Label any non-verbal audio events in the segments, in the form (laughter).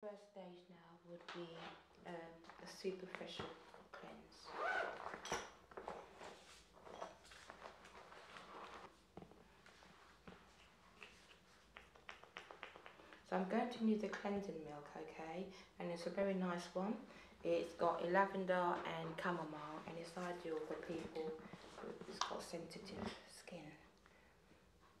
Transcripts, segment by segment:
First stage now would be um, a superficial cleanse. So I'm going to use the cleansing milk, okay? And it's a very nice one. It's got lavender and chamomile and it's ideal for people with sensitive skin.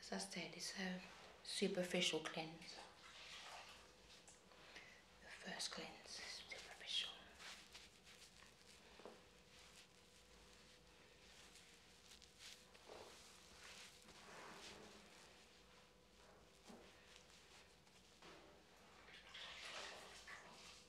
As I said, it's a superficial cleanser. The first cleanse is superficial.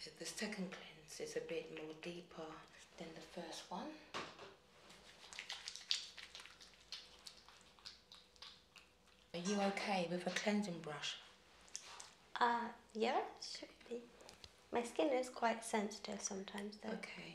So the second cleanse is a bit more deeper than the first one. Are you okay with a cleansing brush? Uh, yeah, should be. My skin is quite sensitive sometimes though. Okay.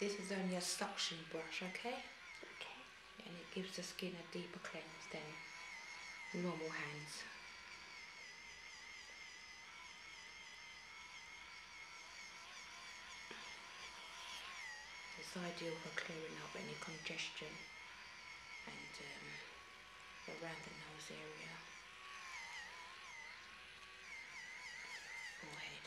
This is only a suction brush, okay? Okay. And it gives the skin a deeper cleanse than normal hands. It's ideal for clearing up any congestion and um, around the nose area void.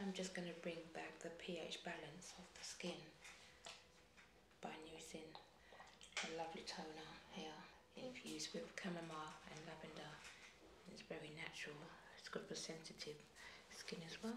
I'm just going to bring back the pH balance of the skin by using a lovely toner here infused with chamomile and lavender. It's very natural. It's good for sensitive skin as well.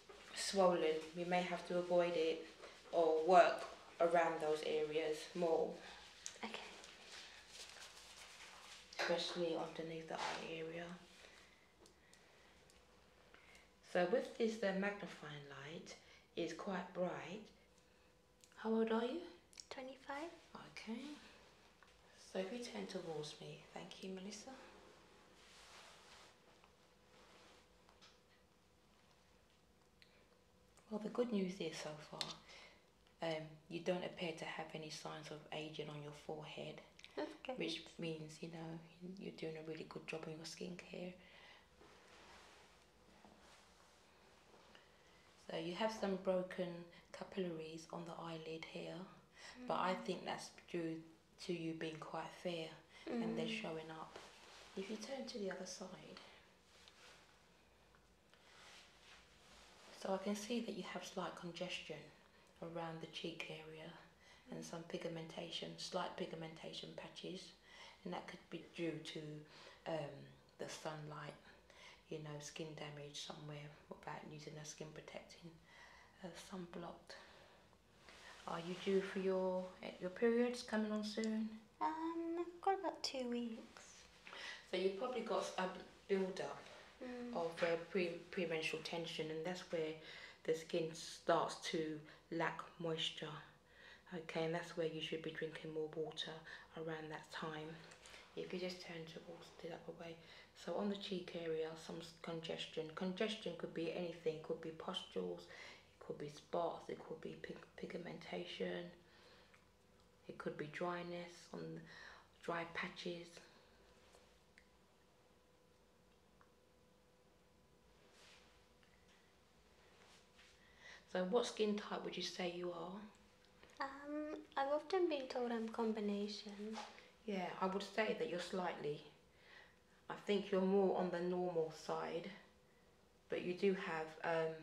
swollen, we may have to avoid it or work around those areas more. Okay. Especially underneath the eye area. So with this the magnifying light is quite bright. How old are you? 25. Okay. So if you turn towards me, thank you Melissa. Well, the good news is so far, um, you don't appear to have any signs of aging on your forehead, which means you know you're doing a really good job on your skincare. So you have some broken capillaries on the eyelid here, but I mm. think that's due to you being quite fair and they're mm. showing up. If you turn to the other side, so I can see that you have slight congestion around the cheek area and some pigmentation, slight pigmentation patches, and that could be due to um, the sunlight, you know, skin damage somewhere without using a skin protecting uh, sunblock. Are you due for your your periods coming on soon? Um, I've got about two weeks. So you've probably got a build up of mm. uh, pre premenstrual tension, and that's where the skin starts to lack moisture. Okay, and that's where you should be drinking more water around that time. If You just turn towards the other way. So on the cheek area, some congestion. Congestion could be anything, could be pustules, it could be spots, it could be pig pigmentation, it could be dryness on dry patches. So what skin type would you say you are? Um, I've often been told I'm combination. Yeah, I would say that you're slightly I think you're more on the normal side, but you do have um,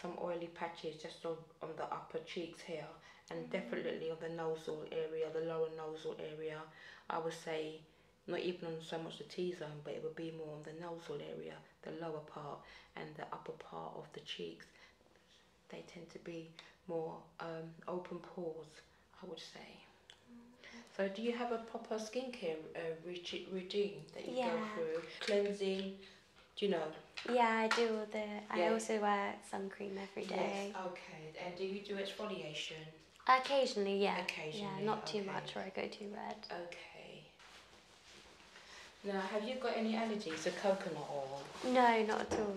some oily patches just on, on the upper cheeks here and mm-hmm. definitely on the nasal area, the lower nasal area. I would say not even on so much the T-zone, but it would be more on the nasal area, the lower part and the upper part of the cheeks. They tend to be more um, open pores. I would say. So do you have a proper skincare uh, routine that you go through? Cleansing, do you know? Yeah, I do all the. Yeah. I also wear sun cream every day. Yes. Okay. And do you do exfoliation? Occasionally, yeah. Occasionally. not too much, or I go too red. Okay. Now, have you got any allergies to coconut oil? No, not at all.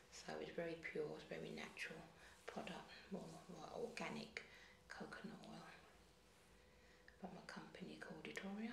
So it's very pure, it's very natural product, more organic coconut oil from a company called Edoria.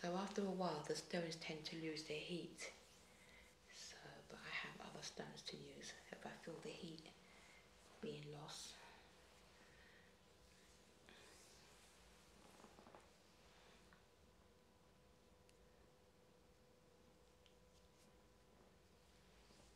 So after a while the stones tend to lose their heat. So, but I have other stones to use if I feel the heat being lost.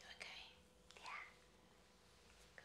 You okay? Yeah. Good.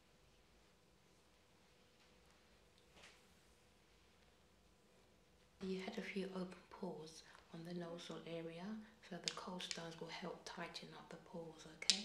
You had a few open pores on the nasal area, so the cold stones will help tighten up the pores, okay?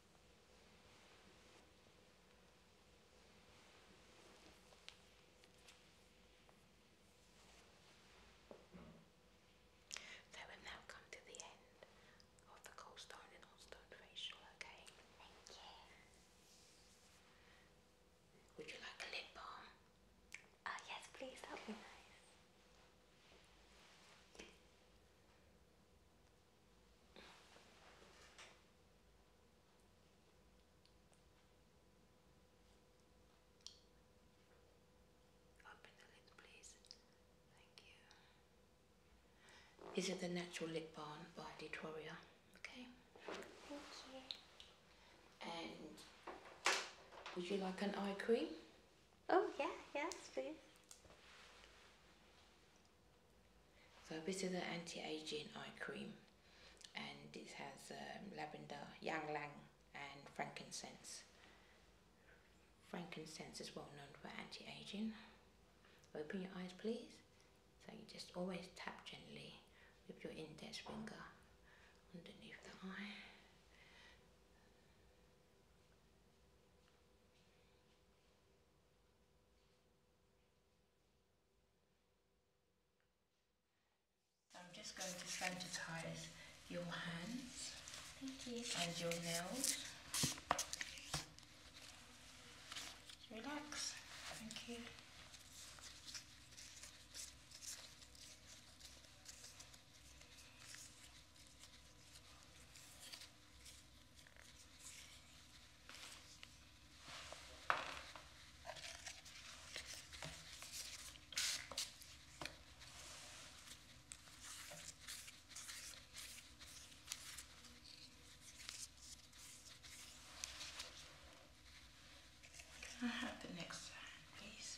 So we've now come to the end of the cold stone and hot stone facial, okay? Thank you. Would you like a lip balm? Ah, yes, please, that would be nice. Is it the natural lip balm by Detoria. Okay. And would you like an eye cream? Oh yeah, yes, please. So this is the anti-aging eye cream and it has um, lavender, ylang-ylang, and frankincense. Frankincense is well known for anti-aging. Open your eyes please. So you just always tap gently with your index finger underneath the eye. I'm just going to sanitize your hands and your nails. Relax. Thank you. I have the next time, please.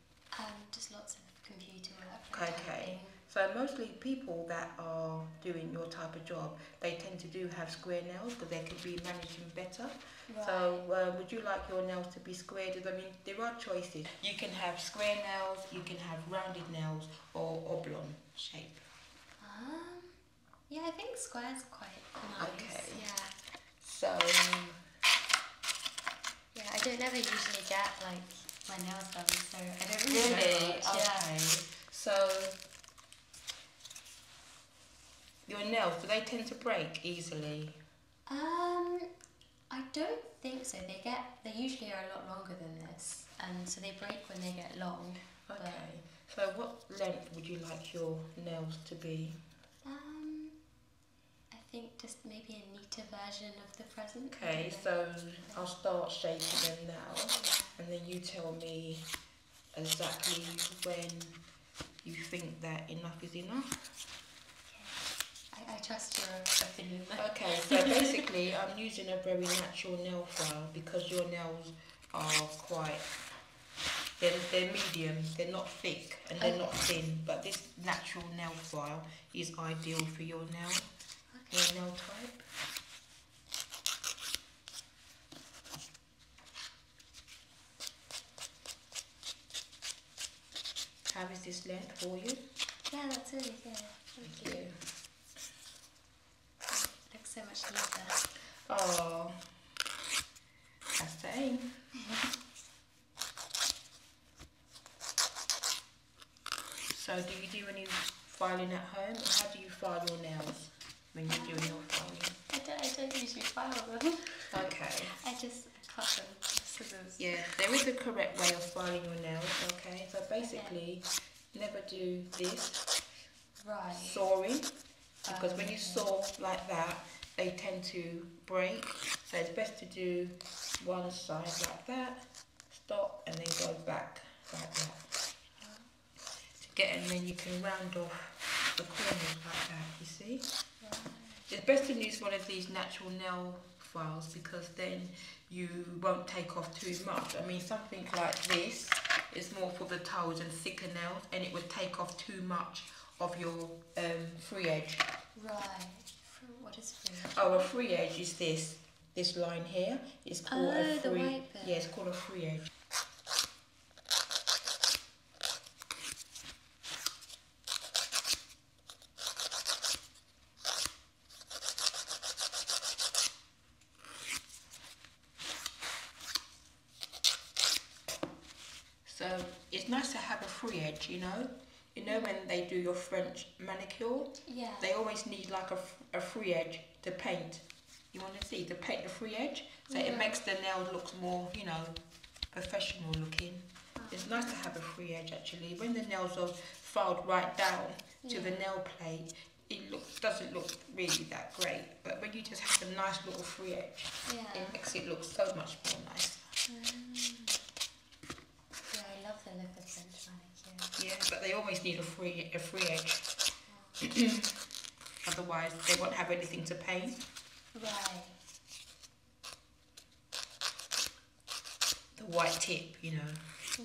Um, just lots of computer work. Okay. So mostly people that are doing your type of job, they tend to do have square nails because they could be managing better. So um, would you like your nails to be squared? I mean, there are choices. You can have square nails, you can have rounded nails, or oblong shape. Um, yeah, I think square's quite nice. Yeah. So yeah, I don't ever usually get like my nails done, so I don't really. Really? Yeah. So your nails do they tend to break easily? Um, I don't think so. They get they usually are a lot longer than this, and so they break when they get long. Okay. So what length would you like your nails to be? Um, I think just maybe a neater version of the Okay, so I'll start shaping them now, and then you tell me exactly when you think that enough is enough. Okay. I, trust your Okay, so (laughs) basically I'm using a very natural nail file because your nails are quite they're, they're medium, they're not thick and they're not thin, but this natural nail file is ideal for your nail. Okay, no type. How is this length for you? Yeah, that's it. Yeah. okay. you. Ah, so much neater. Oh, I say. (laughs) So do you do any filing at home? Or how do you file your nails when you're doing your filing? I don't, I don't usually file them. Okay. I just cut them Yeah, there is a correct way of filing your nails, okay? So basically, never do this. Right. Sawing. Because when you um, saw like that, they tend to break. So it's best to do one side like that stop and then go back like that to get and then you can round off the corners like that you see it's best to use one of these natural nail files because then you won't take off too much I mean something like this is more for the toes and thicker nails and it would take off too much of your um, free edge right what is free edge? oh free edge is this this line here is called a free. Oh, yeah, it's called a free edge. So it's nice to have a free edge, you know. You know when they do your French manicure? Yeah. They always need like a, a free edge to paint. You want to see the paint the free edge, so it makes the nail look more, you know, professional looking. Uh-huh. It's nice to have a free edge actually. When the nails are filed right down to the nail plate, it looks doesn't look really that great. But when you just have a nice little free edge, yeah. it makes it look so much more nice. Mm. Yeah, I love the look of French but they always need a free a free edge. (clears throat) Otherwise, they won't have anything to paint. Right. The white tip, you know. Hmm.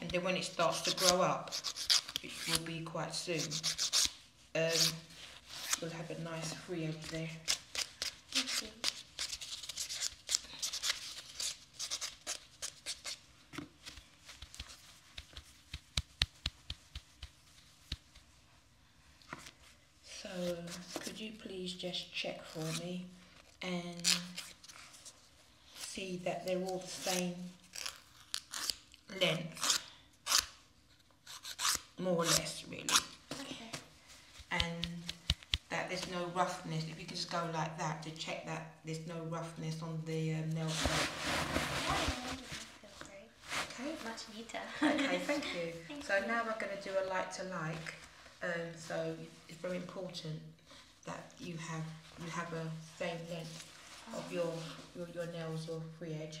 And then when it starts to grow up, which will be quite soon, um, we'll have a nice free over there. So, could you please just check for me and see that they're all the same length more or less really and that there's no roughness if you can just go like that to check that there's no roughness on the um, nail okay much neater okay thank you (laughs) so now we're going to do a like to like um, so it's very important that you have you have a same length of your your, your nails or free edge.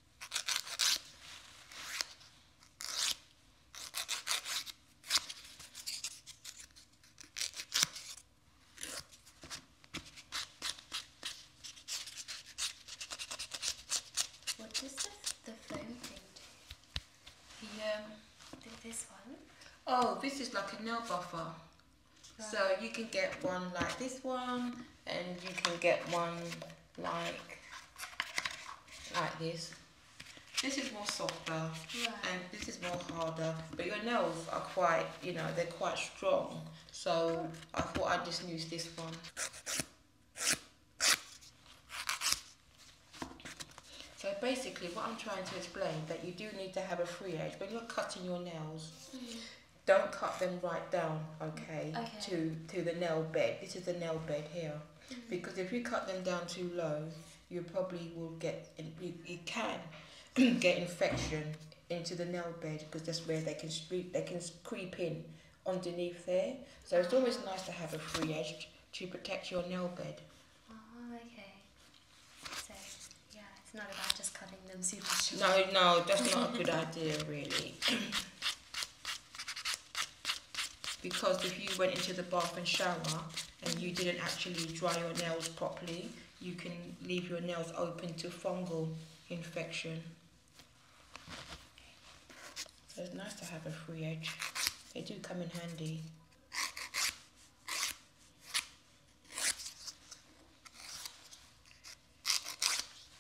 What is this? the, phone. flame thing um, this one? Oh, this is like a nail buffer. So you can get one like this one, and you can get one like like this. This is more softer and this is more harder. But your nails are quite, you know, they're quite strong. So I thought I'd just use this one. So basically what I'm trying to explain that you do need to have a free edge. When you're cutting your nails, mm. don't cut them right down okay, to to the nail bed. This is the nail bed here, mm-hmm. because if you cut them down too low, you probably will get you, can (clears throat) get infection into the nail bed because that's where they can they can creep in underneath there. So it's ah. always nice to have a free edge to protect your nail bed. Oh, okay. So yeah, it's not about just cutting them super short. No, no, that's not a good (laughs) idea really. (clears throat) Because if you went into the bath and shower and you didn't actually dry your nails properly, you can leave your nails open to fungal infection. So it's nice to have a free edge. They do come in handy.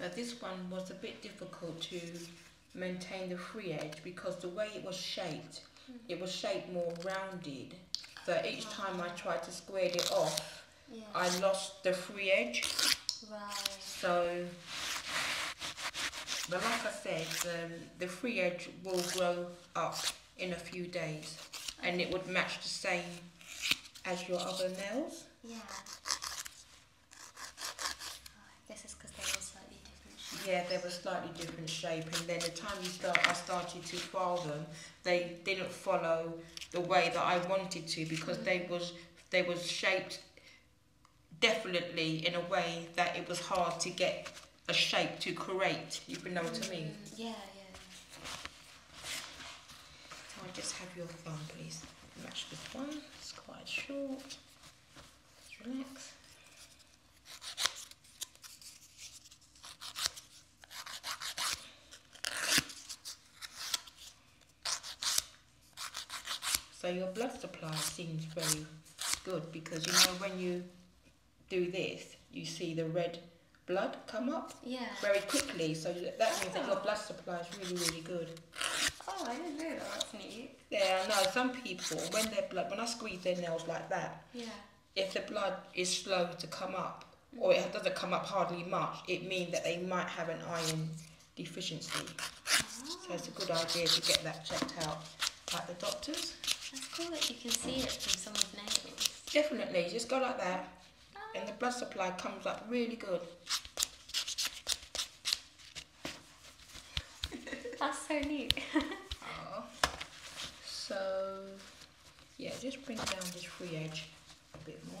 Now this one was a bit difficult to maintain the free edge because the way it was shaped, mm-hmm. it was shaped more rounded. So each time I tried to square it off, I lost the free edge. Right. So, but like I said, um, the free edge will grow up in a few days and it would match the same as your other nails. Yeah. Oh, this is because they were slightly different shape. Yeah, they were slightly different shape and then the time you start, I started to file them, they didn't follow the way that I wanted to because they mm. was they was shaped definitely in a way that it was hard to get a shape to create, if you know what I mean. Mm, yeah, yeah. So I just have your thumb, please. Match this one. It's quite short. relax. So your blood supply seems very good because you know when you do this, you see the red blood come up yeah. very quickly. So that means that ah. your blood supply is really, really good. Oh, I didn't know that. That's neat. Yeah, no. Some people, when their blood, when I squeeze their nails like that, yeah. if the blood is slow to come up, mm. or it doesn't come up hardly much, it means that they might have an iron deficiency. So it's a good ah. idea to get that checked out at the doctor's. That's cool that you can see it from someone's nails. Definitely, just go like that and the blood supply comes up really good. (laughs) That's so neat. So, yeah, just bring down this free edge a bit more.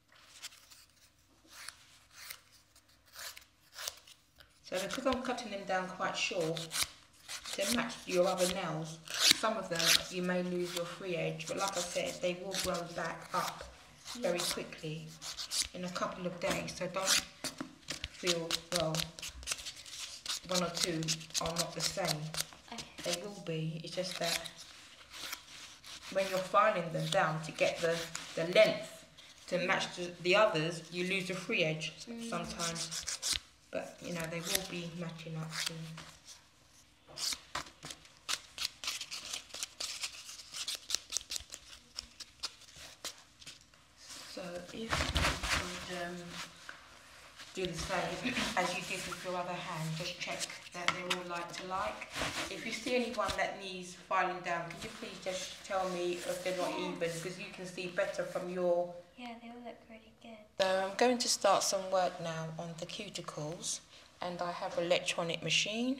So because I'm cutting them down quite short, to match your other nails, some of them you may lose your free edge, but like I said, they will grow back up very quickly in a couple of days, so don't feel, well, one or two are not the same. They will be, it's just that when you're filing them down to get the, the length to match the, others, you lose the free edge mm. sometimes. But, you know, they will be matching up soon. So if you um, do the same as you did with your other hand, just check that they're all like to like. If you see anyone that needs Filing down. Could you please just tell me if they're not even because you can see better from your... Yeah, they all look really good. So I'm going to start some work now on the cuticles and I have an electronic machine.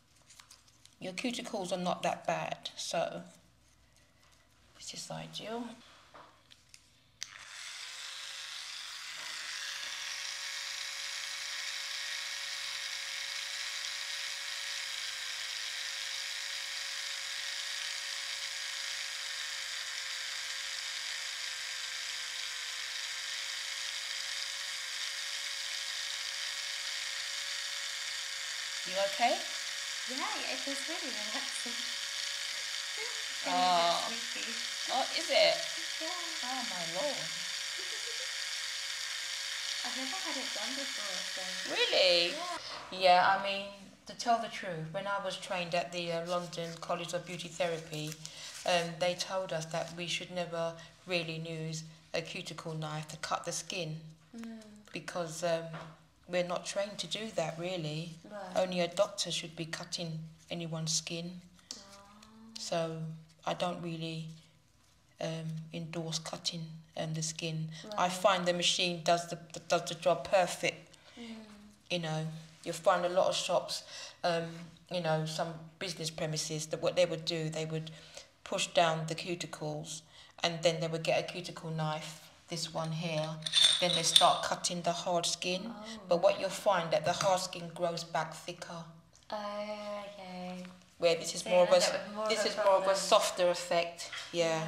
Your cuticles are not that bad, so it's just ideal. You okay? Yeah, it feels really relaxing. (laughs) oh. oh, is it? (laughs) Yeah. Oh my lord. (laughs) I've never had it done before. Really? Yeah. I mean, to tell the truth, when I was trained at the uh, London College of Beauty Therapy, um, they told us that we should never really use a cuticle knife to cut the skin mm. because um, we're not trained to do that really. Only a doctor should be cutting anyone's skin. Oh. So I don't really um, endorse cutting um, the skin. I find the machine does the, does the job perfect. Mm. You know, you'll find a lot of shops, um, you know, some business premises that what they would do, they would push down the cuticles and then they would get a cuticle knife this one here then they start cutting the hard skin oh. but what you'll find that the hard skin grows back thicker oh, okay where this is more of a this is more of a softer effect yeah.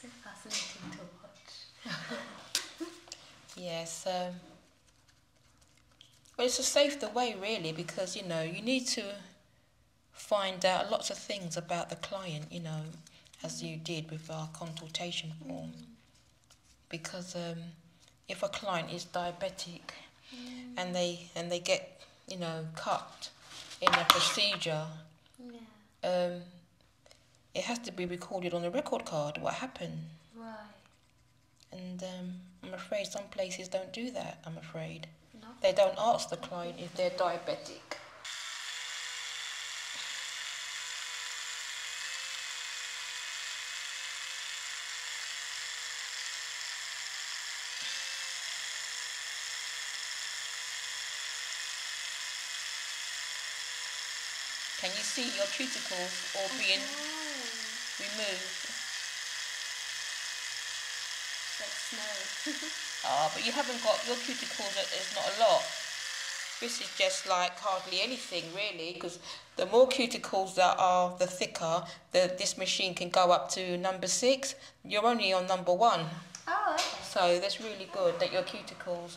So fascinating to watch. (laughs) yeah, so um, well, it's a safe way really because you know you need to find out lots of things about the client, you know, as you did with our consultation mm. form. Because um, if a client is diabetic mm. and they and they get you know cut in a procedure, yeah. Um, it has to be recorded on a record card what happened. Right. And um, I'm afraid some places don't do that, I'm afraid. They don't ask the client if they're diabetic. Can you see your cuticles all being removed? It's like snow. (laughs) ah, but you haven't got your cuticles. There's not a lot. This is just like hardly anything really, because the more cuticles that are, the thicker. The this machine can go up to number six. You're only on number one. Oh. So that's really good that your cuticles.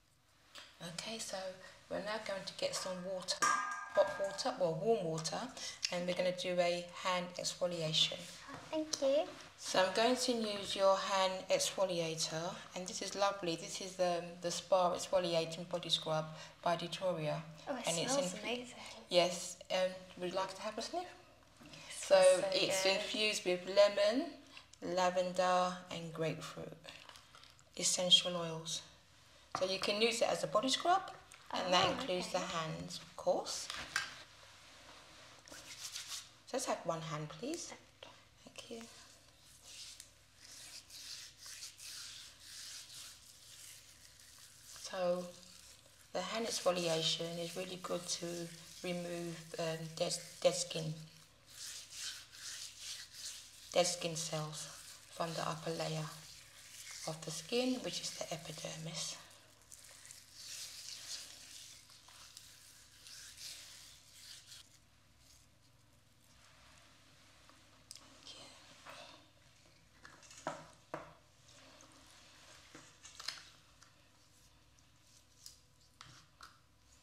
Okay, so we're now going to get some water, hot water, well warm water, and we're going to do a hand exfoliation. Thank you. So I'm going to use your hand exfoliator, and this is lovely. This is the um, the Spa Exfoliating Body Scrub by Detoria. Oh, it and smells it's in, amazing. Yes, um, would you like to have a sniff? so, it's infused with lemon, lavender and grapefruit essential oils. So you can use it as a body scrub, and oh, that includes the hands, of course. So let's have one hand, please. Thank you. So the hand exfoliation is really good to remove um, dead, dead skin dead skin cells from the upper layer of the skin, which is the epidermis.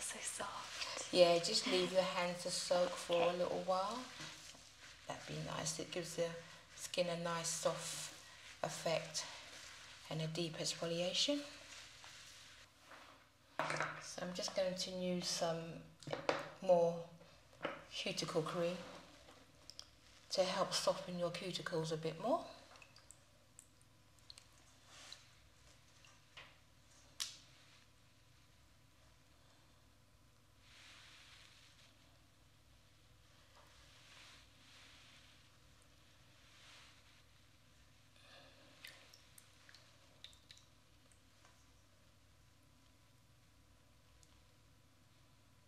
so soft. Yeah, just leave your hands to soak for a little while. That'd be nice. It gives the skin a nice soft effect and a deep exfoliation. So I'm just going to use some more cuticle cream to help soften your cuticles a bit more.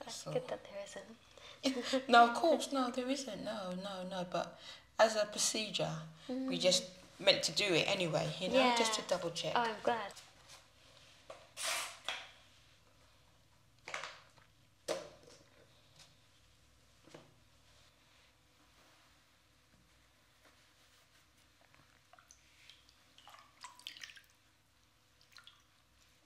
That's so. that there isn't. (laughs) no, of course, no, there isn't. No, no, no. But as a procedure, we mm. just meant to do it anyway, you know, just to double check. Oh, I'm glad.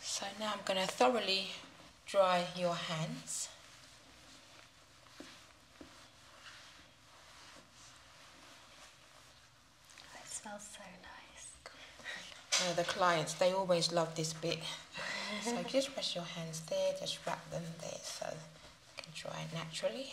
So now I'm going to thoroughly dry your hands. That smells so nice. the clients, they always love this bit. so just rest your hands there, just wrap them there so you can draw it naturally.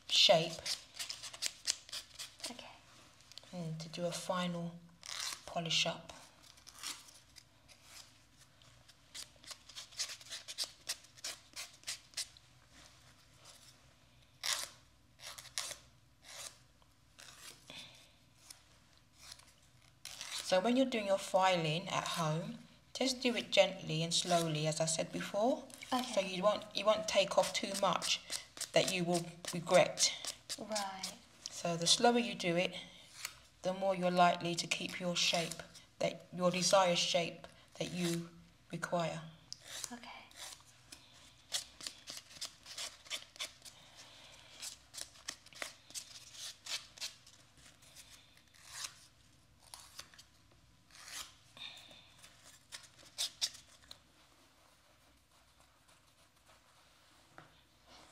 shape. Okay. to do a final polish up. So when you're doing your filing at home, just do it gently and slowly as I said before. So you won't you won't take off too much that you will regret. Right. So the slower you do it, the more you're likely to keep your shape that your desired shape that you require. Okay.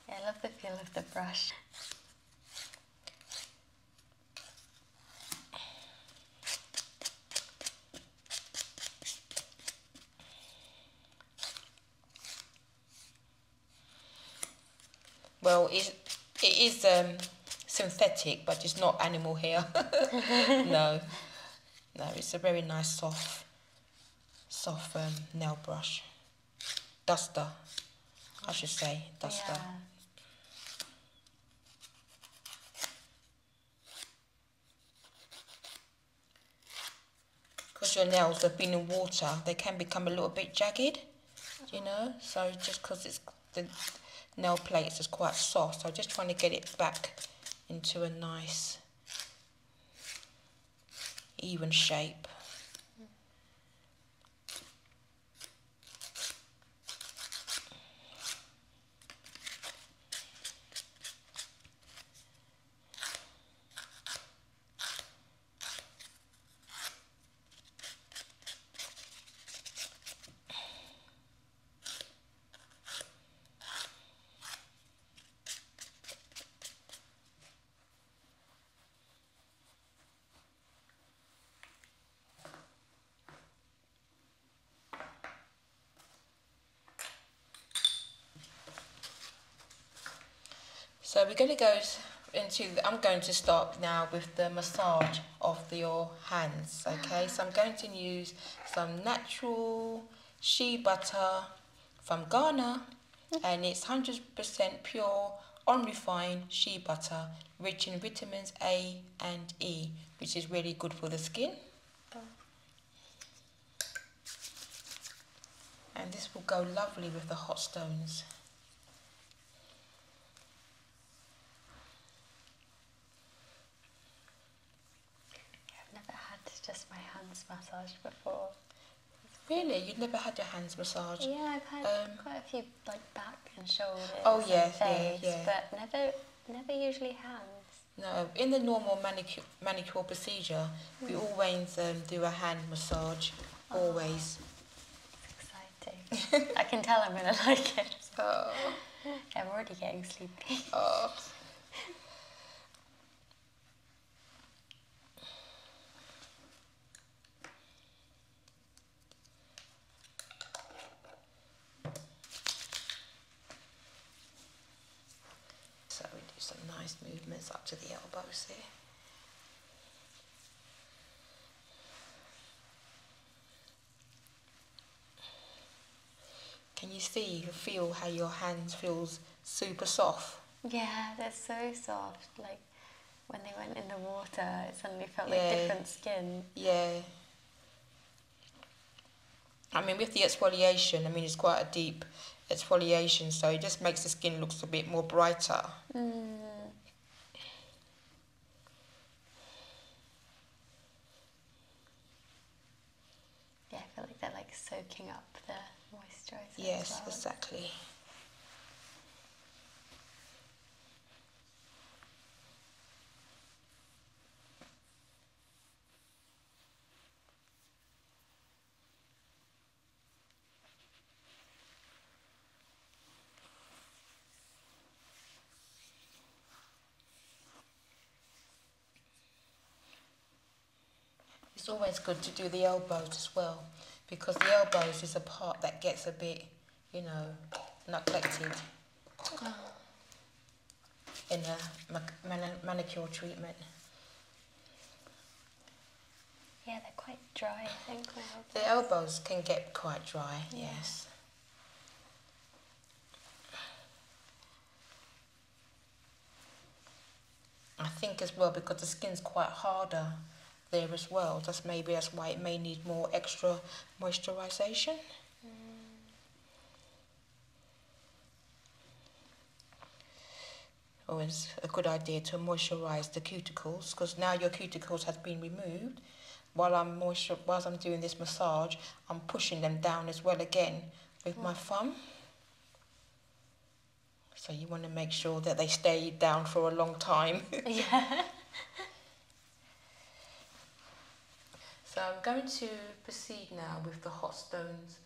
I love the feel of the brush. Well, it, it is um, synthetic, but it's not animal hair. (laughs) no. (laughs) No, it's a very nice soft, soft um, nail brush. Duster, I should say, duster. Because your nails have been in water, they can become a little bit jagged, you know? So just because it's the nail plates is quite soft, so i just want to get it back into a nice even shape. So we're going to go into, I'm going to start now with the massage of the, your hands okay so I'm going to use some natural shea butter from Ghana and it's 100% pure unrefined shea butter rich in vitamins A and E which is really good for the skin and this will go lovely with the hot stones I've never had just my hands massaged before. Really? you have never had your hands massaged? Yeah, I've had um, quite a few like back and shoulders. Oh yeah, face, yeah, yeah. But never, never usually hands. No, in the normal manicure, manicure procedure, we hmm. always um, do a hand massage, oh. always. exciting. I can tell I'm going (laughs) to like it. (laughs) Oh. I'm already getting sleepy. Oh. So we do some nice movements up to the elbows there. Can you see, feel how your hands feels super soft? Yeah, they're so soft. Like when they went in the water, it suddenly felt like different skin. Yeah. I mean, with the exfoliation, I mean, it's quite a deep exfoliation, so it just makes the skin looks a bit more brighter. Mm. Yeah, I feel like they're like soaking up the moisturizer. Yes, exactly. It's always good to do the elbows as well because the elbows is a part that gets a bit, you know, neglected (sighs) in a manicure treatment. Yeah, they're quite dry, I think. The elbows can get quite dry, yes. I think as well because the skin's quite harder there as well. That's maybe that's why it may need more extra moisturization. Always a good idea to moisturize the cuticles because now your cuticles have been removed. While I'm moisture, while I'm doing this massage, I'm pushing them down as well again with my thumb. So you want to make sure that they stay down for a long time. (laughs) (laughs) yeah. So I'm going to proceed now with the hot stones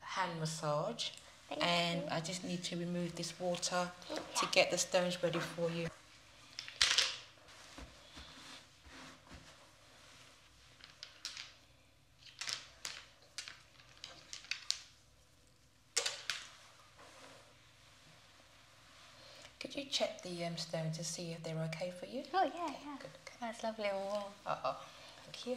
hand massage. and I just need to remove this water to get the stones ready for you. Could you check the stones um, stone to see if they're okay for you? Oh, yeah, yeah. Good, That's lovely and Uh oh, oh, oh. Thank you.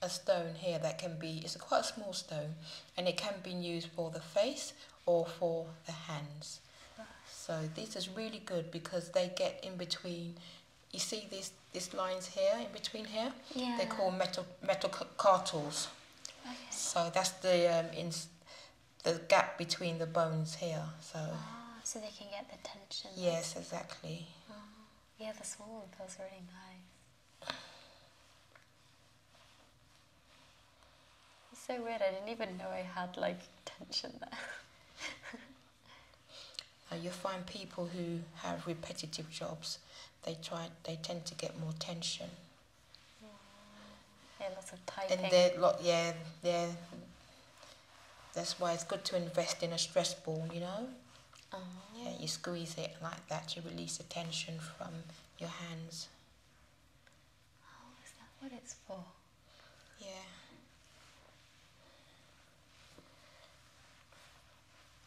a stone here that can be, it's a quite a small stone and it can be used for the face or for the hands. So this is really good because they get in between, you see this this lines here, in between here? Yeah. they call metal metal, cartels. Okay. So that's the, um, in, the gap between the bones here. So. Ah, so they can get the tension. Yes, exactly. Uh-huh. Yeah, the swollen feels really nice. It's so weird, I didn't even know I had like tension there. (laughs) Uh, you find people who have repetitive jobs, they try, they tend to get more tension. Yeah, lots of typing. And they're, yeah, they that's why it's good to invest in a stress ball, you know? Oh. Yeah, you squeeze it like that, to release the tension from your hands. Oh, is that what it's for? Yeah.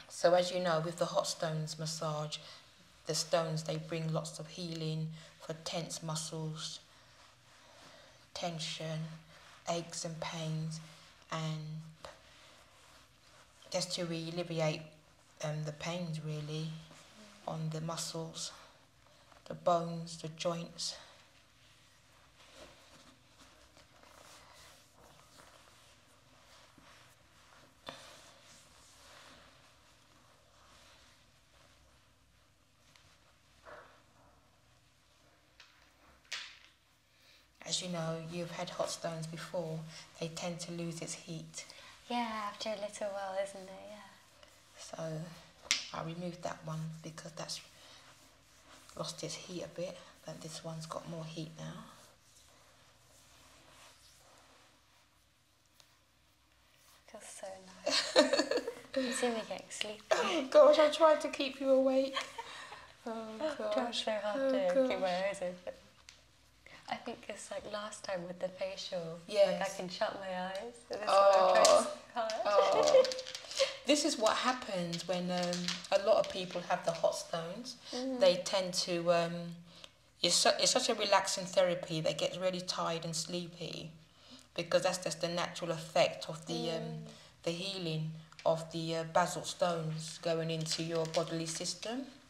So as you know, with the hot stones massage, the stones, they bring lots of healing for tense muscles, tension, aches and pains, and just to alleviate um, the pains really on the muscles, the bones, the joints. As you know, you've had hot stones before they tend to lose its heat. Yeah, after a little while, isn't it? Yeah. So I removed that one because that's lost its heat a bit, but this one's got more heat now. Feels so (laughs) nice. you see me getting sleepy. Oh gosh, I tried to keep you awake. (laughs) Oh gosh. Try so hard oh, to keep my eyes open. I think it's like last time with the facial. Yeah. Like I can shut my eyes. This oh. oh. (laughs) this is what happens when um, a lot of people have the hot stones. Mm. They tend to. Um, it's, it's such a relaxing therapy They get really tired and sleepy because that's just the natural effect of the, um, mm. the healing of the uh, basal stones going into your bodily system.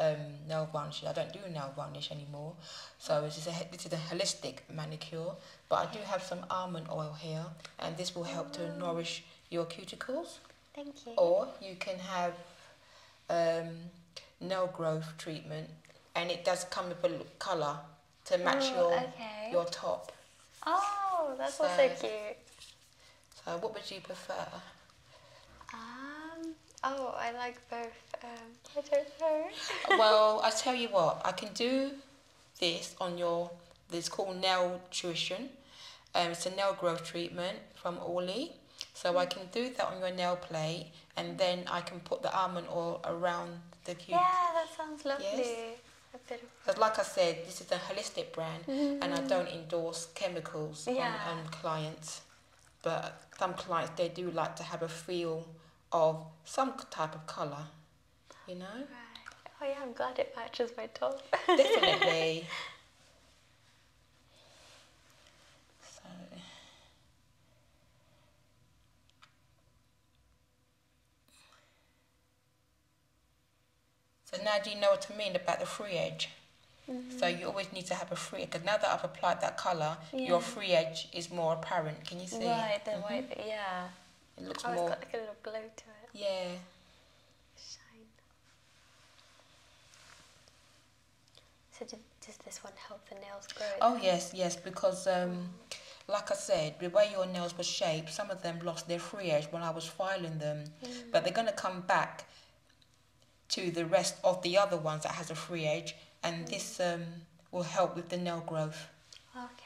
Um, nail varnish. I don't do nail varnish anymore. So this is, a, this is a holistic manicure. But I do have some almond oil here. And this will help to mm. nourish your cuticles. Thank you. Or you can have um, nail growth treatment. And it does come with a colour to match your, your top. Oh, that's so, cute. So what would you prefer? Um, Oh, I like both. Um, I don't know. Uh, well, I tell you what, I can do this on your. It's called nail tuition. Um, it's a nail growth treatment from Orly. So I can do that on your nail plate, and then I can put the almond oil around the cute. Yeah, that sounds lovely. Yes. But like I said, this is a holistic brand, mm-hmm. and I don't endorse chemicals on clients but some clients they do like to have a feel of some type of color, you know. Oh yeah, I'm glad it matches my top. Definitely. (laughs) so now do you know what I mean about the free edge? So you always need to have a free edge. now that I've applied that color, your free edge is more apparent. Can you see? Right, the mm-hmm. white, yeah. It looks oh, more. got like a little glow to it. Yeah. Shine. So does this one help the nails grow? Oh yes, yes, because um, like I said, the way your nails were shaped, some of them lost their free edge when I was filing them, mm. but they're gonna come back to the rest of the other ones that has a free edge and this um, will help with the nail growth. Okay.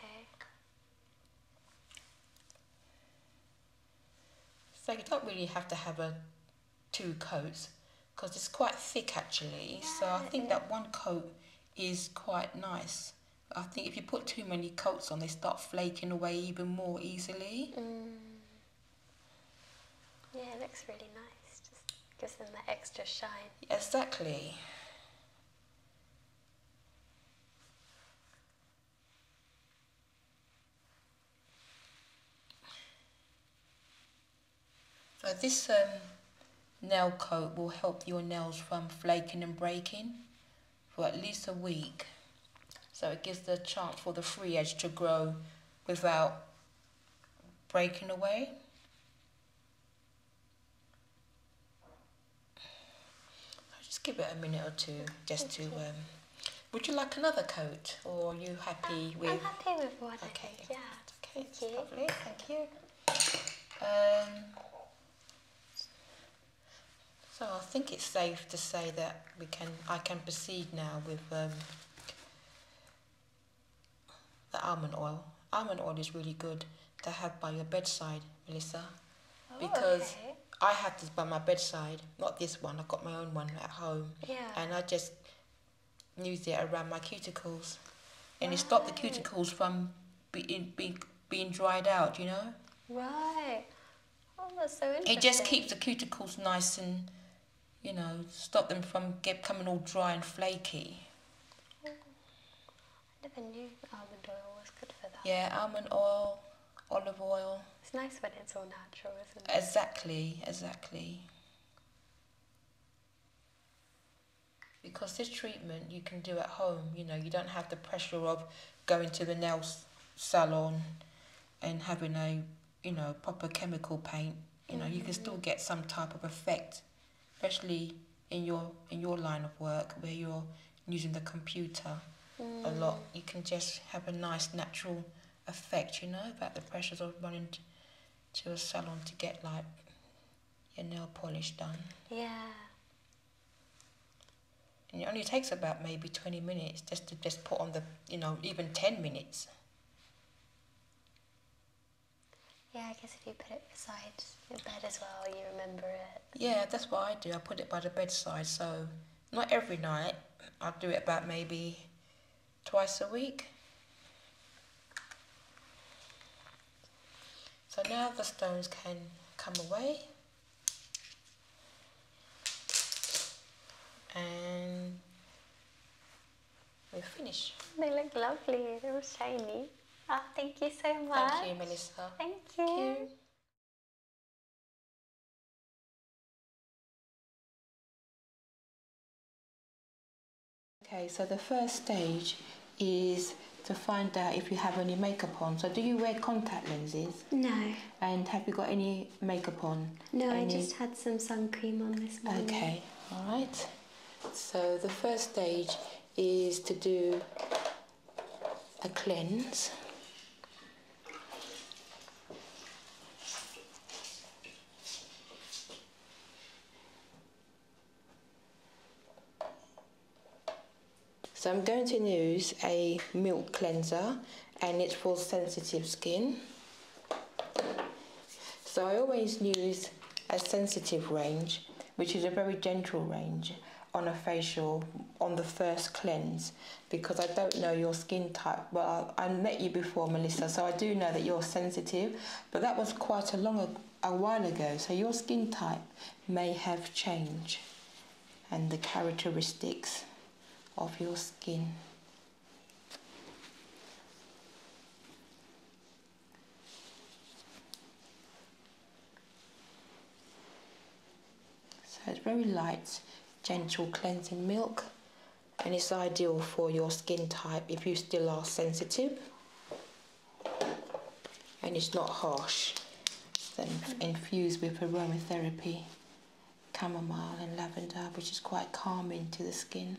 So you don't really have to have a two coats because it's quite thick actually so I think that one coat is quite nice. I think if you put too many coats on they start flaking away even more easily. Mm. Yeah, it looks really nice. Just gives them that extra shine. Exactly. So this um, nail coat will help your nails from flaking and breaking for at least a week. So it gives the chance for the free edge to grow without breaking away. I'll just give it a minute or two just to. Um, would you like another coat or are you happy with? I'm happy with what okay. I did, yeah. Okay, thank you. Lovely, thank you. so I think it's safe to say that we can. I can proceed now with um, the almond oil. Almond oil is really good to have by your bedside, Melissa, oh, because I have this by my bedside, not this one. I've got my own one at home, and I just use it around my cuticles, and it stops the cuticles from being being being dried out. You know. Right. Oh, that's so interesting. It just keeps the cuticles nice and you know, stop them from get coming all dry and flaky. I never knew almond oil was good for that. Yeah, almond oil, olive oil. It's nice when it's all natural, isn't it? Exactly, exactly. Because this treatment you can do at home, you know, you don't have the pressure of going to the nail salon and having a you know, proper chemical paint, you know, you can still mm-hmm. get some type of effect, especially in your in your line of work where you're using the computer a mm. lot. You can just have a nice natural effect, you know, about the pressures of running to a salon to get like your nail polish done. Yeah. And it only takes about maybe twenty minutes just to just put on the you know, even ten minutes. Yeah, I guess if you put it beside your bed as well, you remember it. Yeah, that's what I do. I put it by the bedside, so not every night. I do it about maybe twice a week. So now the stones can come away. And we finish. They look lovely. They're shiny. Oh, thank you so much. Thank you, Melissa. Thank you. Okay, so the first stage is to find out if you have any makeup on. So do you wear contact lenses? No. And have you got any makeup on? No, I just had some sun cream on this morning. Okay, all right. So the first stage is to do a cleanse. So I'm going to use a milk cleanser and it's for sensitive skin. So I always use a sensitive range, which is a very gentle range on a facial on the first cleanse because I don't know your skin type. Well, I, met you before, Melissa, so I do know that you're sensitive, but that was quite a long a while ago. So your skin type may have changed, and the characteristics of your skin so it's very light, gentle cleansing milk and it's ideal for your skin type if you still are sensitive and it's not harsh. Then infused with aromatherapy, chamomile and lavender which is quite calming to the skin.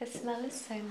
The smell is so nice.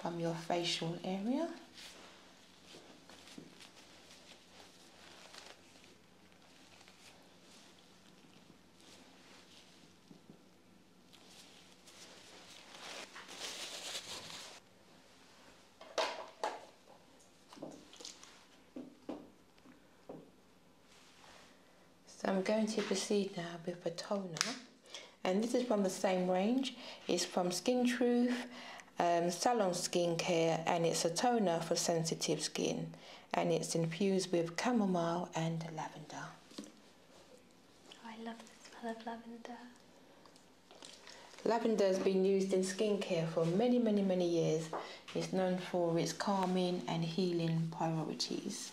from your facial area. So I'm going to proceed now with a toner and this is from the same range. It's from Skin Truth, um, Salon Skincare, and it's a toner for sensitive skin, and it's infused with chamomile and lavender. I love the smell of lavender. Lavender has been used in skincare for many, many, many years. It's known for its calming and healing properties.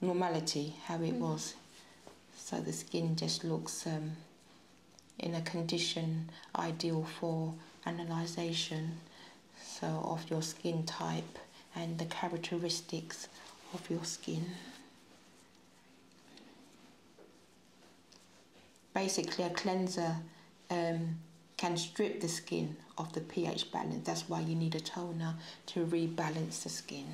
normality how it mm. was. So the skin just looks um, in a condition ideal for analyzation so of your skin type and the characteristics of your skin. Basically a cleanser um, can strip the skin of the pH balance. That's why you need a toner to rebalance the skin.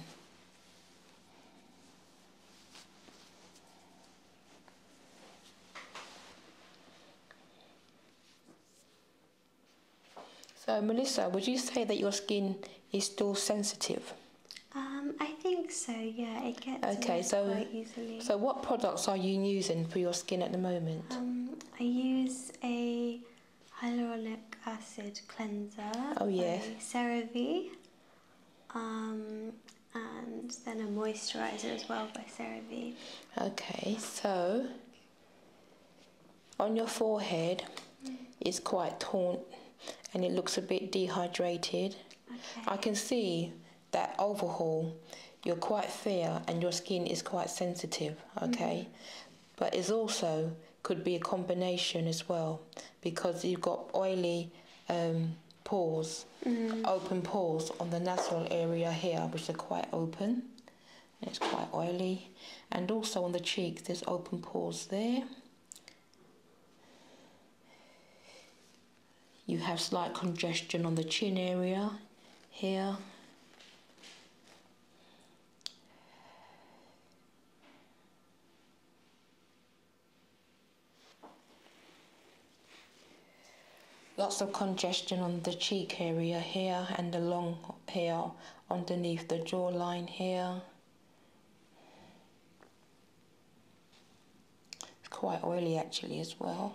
So, Melissa, would you say that your skin is still sensitive? Um, I think so. Yeah, it gets okay. So, so what products are you using for your skin at the moment? Um, I use a hyaluronic acid cleanser. Oh yeah. CeraVe. Um, and then a moisturizer as well by CeraVe. Okay, so on your forehead mm. it's quite taut, and it looks a bit dehydrated. Okay. I can see that overhaul. You're quite fair and your skin is quite sensitive, okay? Mm-hmm. But it's also could be a combination as well because you've got oily um, pores, mm-hmm. open pores on the nasal area here, which are quite open. it's quite oily. And also on the cheeks, there's open pores there. You have slight congestion on the chin area here. Lots of congestion on the cheek area here and along here underneath the jawline here. It's quite oily actually as well.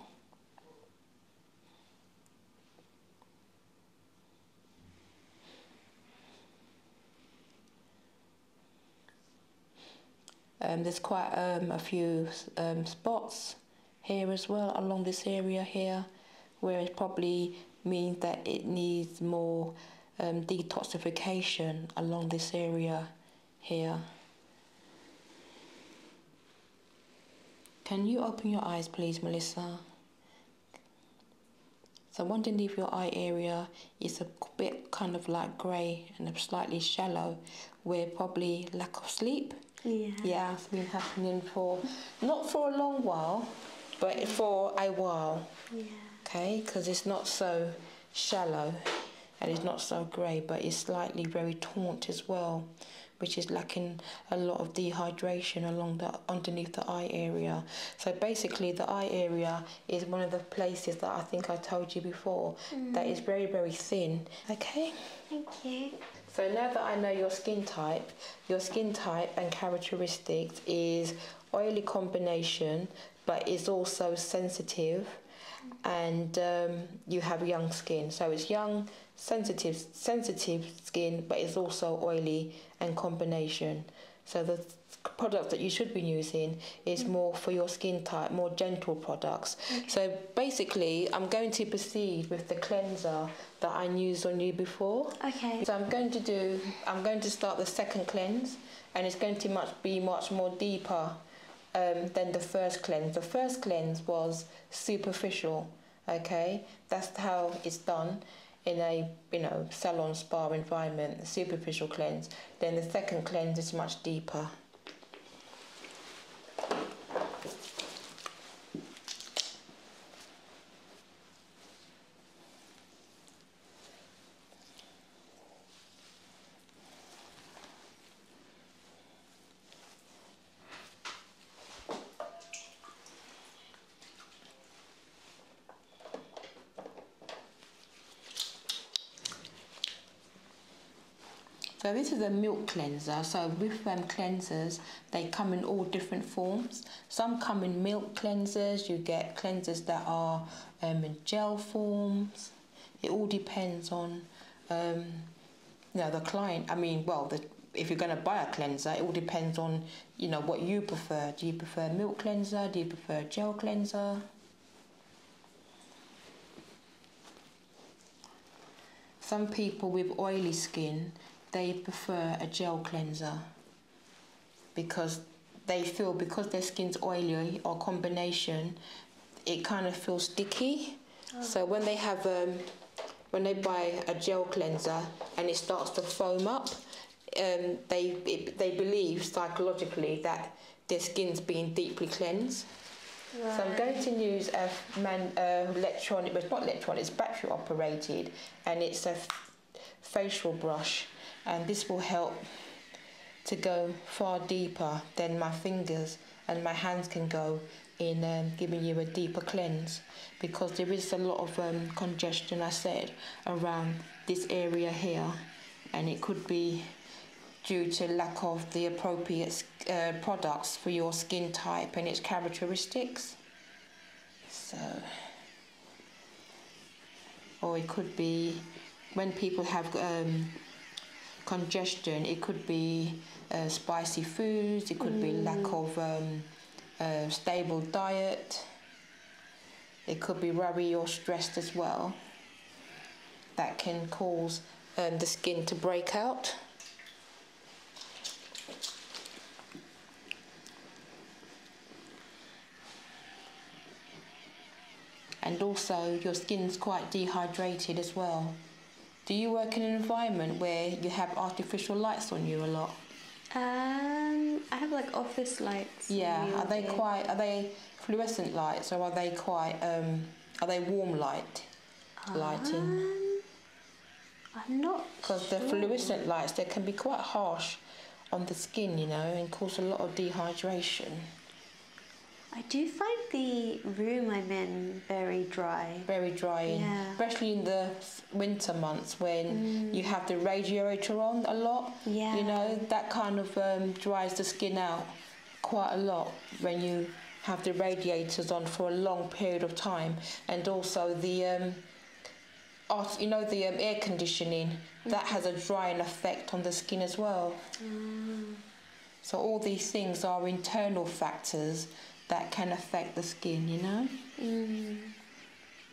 Um, there's quite um, a few um, spots here as well along this area here where it probably means that it needs more um, detoxification along this area here. Can you open your eyes please Melissa? So underneath your eye area is a bit kind of like grey and slightly shallow. we probably lack of sleep. Yeah. Yeah, it's been happening for not for a long while, but for a while. Yeah. Okay, because it's not so shallow and it's not so grey, but it's slightly very taunt as well, which is lacking a lot of dehydration along the underneath the eye area. So basically, the eye area is one of the places that I think I told you before that is mm. very, very thin. Okay? Thank you. So now that I know your skin type, your skin type and characteristics is oily combination, but it's also sensitive and um, you have young skin. So it's young, sensitive, sensitive skin, but it's also oily and combination. So the product that you should be using is mm. more for your skin type, more gentle products. So basically, I'm going to proceed with the cleanser that I used on you before. Okay. So I'm going to do, I'm going to start the second cleanse, and it's going to much be much more deeper um, than the first cleanse. The first cleanse was superficial. Okay, that's how it's done in a you know salon spa environment superficial cleanse then the second cleanse is much deeper so this is a milk cleanser. So with um, cleansers, they come in all different forms. Some come in milk cleansers. You get cleansers that are um, in gel forms. It all depends on um, you know, the client. I mean, well, if you're going to buy a cleanser, it all depends on you know what you prefer. Do you prefer milk cleanser? Do you prefer gel cleanser. Some people with oily skin, they prefer a gel cleanser because they feel because their skin's oily or combination, it kind of feels sticky. Oh. So when they have um, when they buy a gel cleanser and it starts to foam up, um, they they believe psychologically that their skin's being deeply cleansed. So I'm going to use a man uh, electronic, but it's not electronic, it's battery operated, and it's a facial brush, and this will help to go far deeper than my fingers and my hands can go in um, giving you a deeper cleanse because there is a lot of um, congestion I said around this area here and it could be due to lack of the appropriate uh, products for your skin type and its characteristics. So, or it could be when people have um, congestion, it could be uh, spicy foods, it could be mm. lack of um, uh, stable diet. It could be worry or stressed as well. That can cause um, the skin to break out. And also, your skin's quite dehydrated as well. Do you work in an environment where you have artificial lights on you a lot? Um, I have like office lights. Yeah, are they quite? Are they fluorescent lights. so are they quite, um, are they warm light lighting? Um, I'm not Because the fluorescent lights, they can be quite harsh on the skin, you know, and cause a lot of dehydration. I do find the room I'm in very dry. Very dry, especially in the winter months when mm. you have the radiator on a lot yeah. You know, that kind of um, dries the skin out quite a lot when you have the radiators on for a long period of time and also the um, you know the um, air conditioning that has a drying effect on the skin as well mm. so all these things are internal factors that can affect the skin you know mm.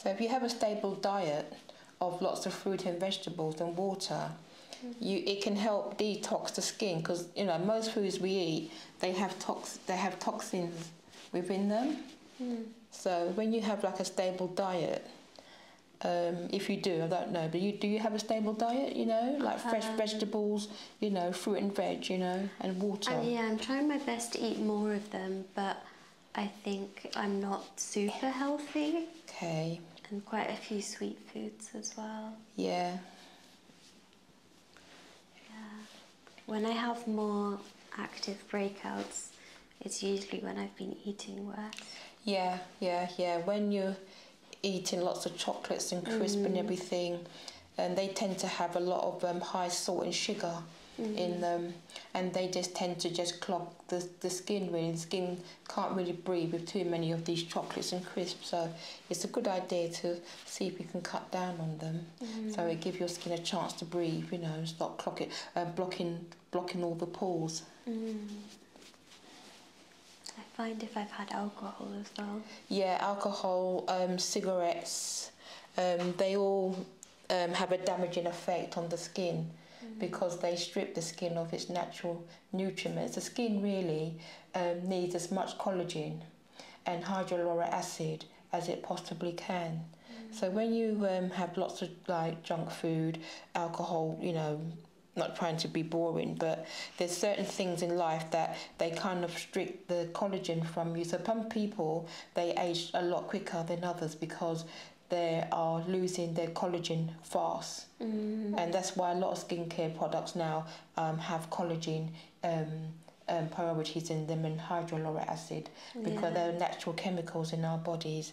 So if you have a stable diet of lots of fruit and vegetables and water, you it can help detox the skin because you know most foods we eat they have tox they have toxins within them. Hmm. So when you have like a stable diet, um, if you do, I don't know, but you do you have a stable diet? You know, like fresh um, vegetables, you know, fruit and veg, you know, and water. yeah, I'm trying my best to eat more of them, but I think I'm not super healthy. Okay. And quite a few sweet foods as well. Yeah. Yeah. When I have more active breakouts, it's usually when I've been eating worse. Yeah, yeah, yeah. When you're eating lots of chocolates and crisps and mm. everything, and they tend to have a lot of um, high salt and sugar in mm. them, and they just tend to just clog the, the skin when The skin can't really breathe with too many of these chocolates and crisps, so it's a good idea to see if you can cut down on them. So mm. it gives your skin a chance to breathe, you know, stop clocking, uh, blocking blocking all the pores. Mm. I find if I've had alcohol as well. Yeah, alcohol, um, cigarettes, um, they all um, have a damaging effect on the skin mm. because they strip the skin of its natural nutrients. The skin really needs as much collagen and hyaluronic acid as it possibly can. So when you um, have lots of like junk food, alcohol, you know, not trying to be boring, but there's certain things in life that they kind of strip the collagen from you. So some people they age a lot quicker than others because they are losing their collagen fast, mm. and that's why a lot of skincare products now um, have collagen. Um, um priorities in them and hyaluronic acid because they're natural chemicals in our bodies.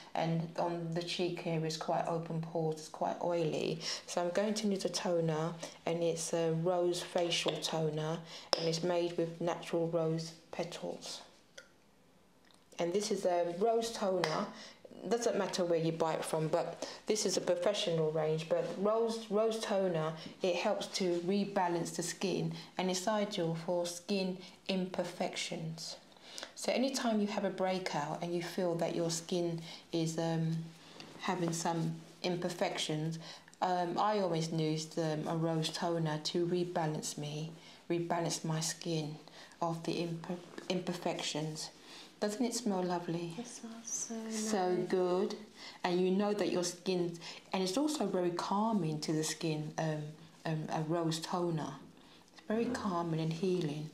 and on the cheek here is quite open pores, it's quite oily. So I'm going to need a toner and it's a rose facial toner and it's made with natural rose petals. And this is a rose toner doesn't matter where you buy it from, but this is a professional range. But rose rose toner it helps to rebalance the skin and it's ideal for skin imperfections. So anytime you have a breakout and you feel that your skin is um, having some imperfections, um, I always use um, a rose toner to rebalance me, rebalance my skin of the imperfections. Doesn't it smell lovely? It smells so good. And you know that your skin, and it's also very calming to the skin, um, a rose toner. It's very calming and healing.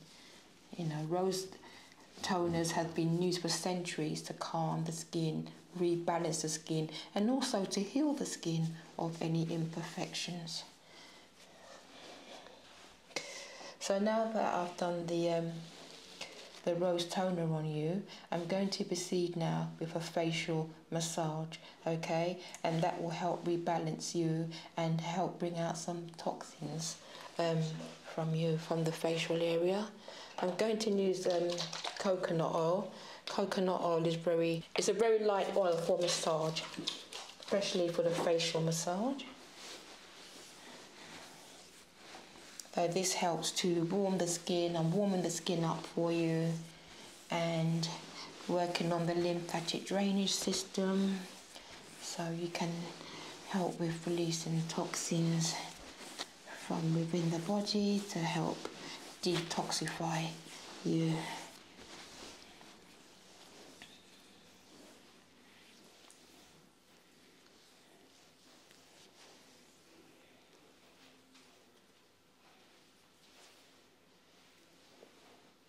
You know, rose toners have been used for centuries to calm the skin, rebalance the skin, and also to heal the skin of any imperfections. So now that I've done the um, the rose toner on you, I'm going to proceed now with a facial massage okay and that will help rebalance you and help bring out some toxins um, from you from the facial area I'm going to use um, coconut oil coconut oil is very it's a very light oil for massage especially for the facial massage so this helps to warm the skin and warming the skin up for you and working on the lymphatic drainage system so you can help with releasing toxins from within the body to help detoxify you.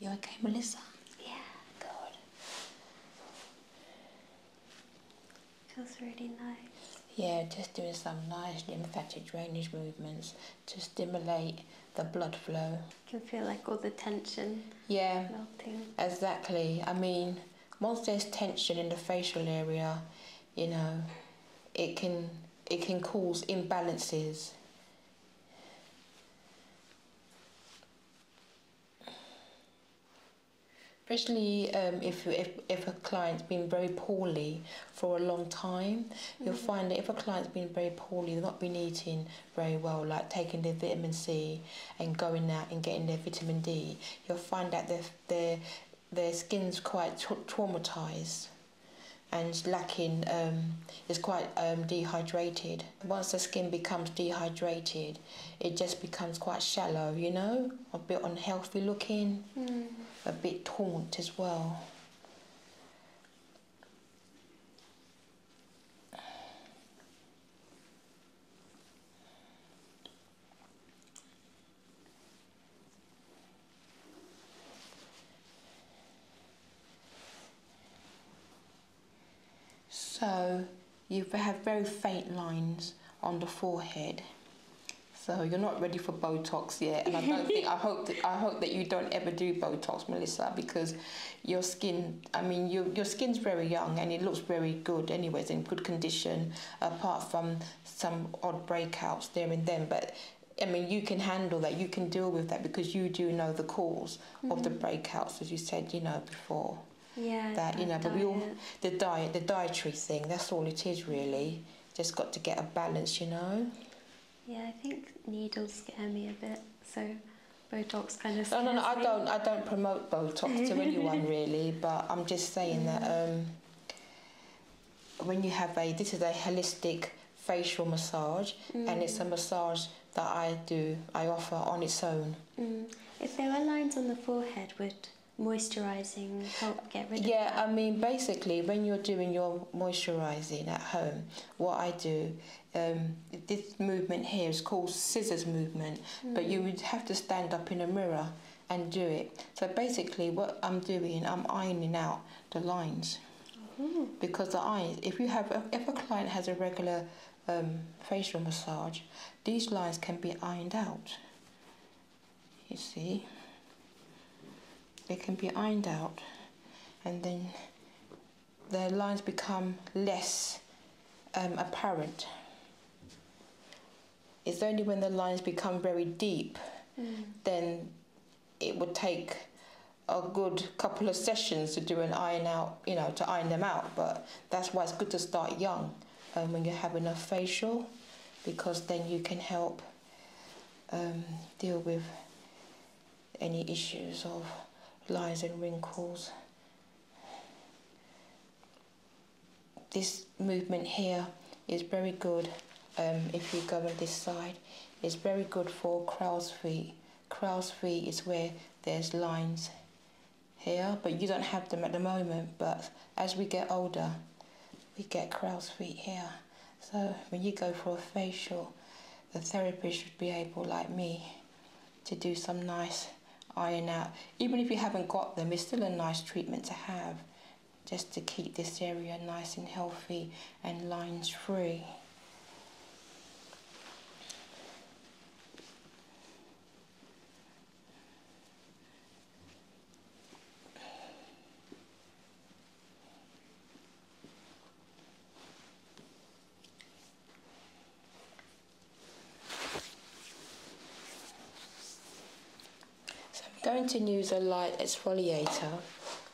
You okay, Melissa? Yeah, good. Feels really nice. Yeah, just doing some nice lymphatic drainage movements to stimulate the blood flow can feel like all the tension yeah melting exactly i mean once there's tension in the facial area you know it can it can cause imbalances especially um, if, if, if a client's been very poorly for a long time, you'll mm-hmm. find that if a client's been very poorly, they've not been eating, very well, like taking the vitamin C and going out and getting their vitamin D, you'll find that their their skin's quite traumatized and lacking um, is quite um, dehydrated. Once the skin becomes dehydrated, it just becomes quite shallow, you know, a bit unhealthy looking, hmm. a bit taunt as well. So you have very faint lines on the forehead. So you're not ready for Botox yet, and I don't think I (laughs) hope that I hope that you don't ever do Botox, Melissa, because your skin, I mean, your, your skin's very young and it looks very good anyways, in good condition, apart from some odd breakouts there and then. But I mean, you can handle that, you can deal with that because you do know the because of the mm-hmm. breakouts, as you said, you know, before. Yeah, that you know, but we all the diet, the dietary thing. That's all it is really. Just got to get a balance, you know. Yeah, I think needles scare me a bit, so Botox No, no, no. I don't. I don't promote Botox to (laughs) anyone really, but I'm just saying that um, when you have a this is a holistic facial massage, and it's a mm. massage that I do. I offer on its own. Mm. If there were lines on the forehead, would moisturizing help get rid of yeah i mean basically when you're doing your moisturizing at home what i do um, this movement here is called scissors movement, but you would have to stand up in a mirror and do it. So basically, what I'm doing, I'm ironing out the lines. Mm-hmm. Because the eyes, if you have, if a client has a regular um, facial massage, these lines can be ironed out. You see, they can be ironed out, and then the lines become less um, apparent. It's only when the lines become very deep, hmm. then it would take a good couple of sessions to do an iron out, you know, to iron them out. But that's why it's good to start young um, when you have enough facial, because then you can help um, deal with any issues of lines and wrinkles this movement here is very good um, if you go on this side. It's very good for crow's feet. Crow's feet is where there's lines here, but you don't have them at the moment. But as we get older, we get crow's feet here. So when you go for a facial, the therapist should be able, like me, to do some nice iron out. Even if you haven't got them, it's still a nice treatment to have just to keep this area nice and healthy and lines free. So I'm going to use a light exfoliator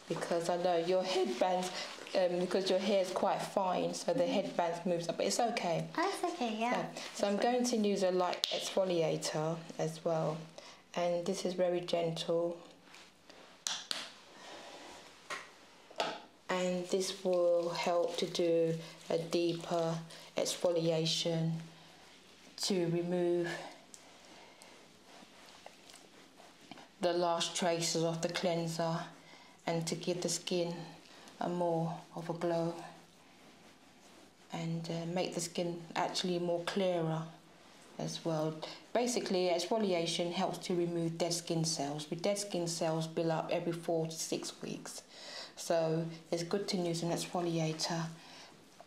because I know your headbands, um, because your hair is quite fine, so the mm-hmm. headbands moves up, but it's okay. That's oh, okay, yeah. So I'm going to use a light exfoliator as well. And this is very gentle and this will help to do a deeper exfoliation to remove the last traces of the cleanser and to give the skin a more of a glow and uh, make the skin actually more clearer as well. Basically, exfoliation helps to remove dead skin cells. The dead skin cells build up every four to six weeks. So it's good to use an exfoliator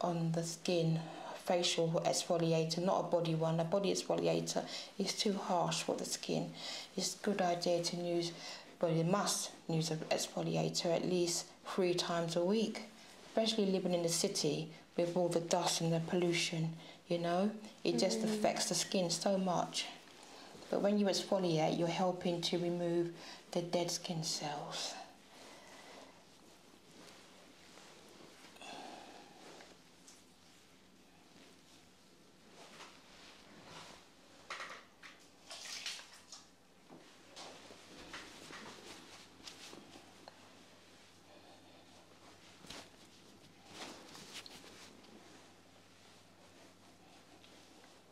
on the skin, facial exfoliator, not a body one. A body exfoliator is too harsh for the skin. It's a good idea to use, but you must use an exfoliator at least three times a week. Especially living in the city with all the dust and the pollution, you know, it just mm-hmm. affects the skin so much. But when you exfoliate, you're helping to remove the dead skin cells.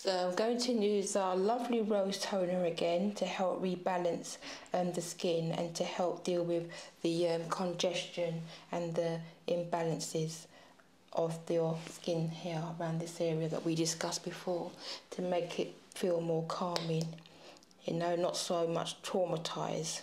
So I'm going to use our lovely rose toner again to help rebalance um, the skin and to help deal with the um, congestion and the imbalances of your skin here around this area that we discussed before to make it feel more calming, you know, not so much traumatized.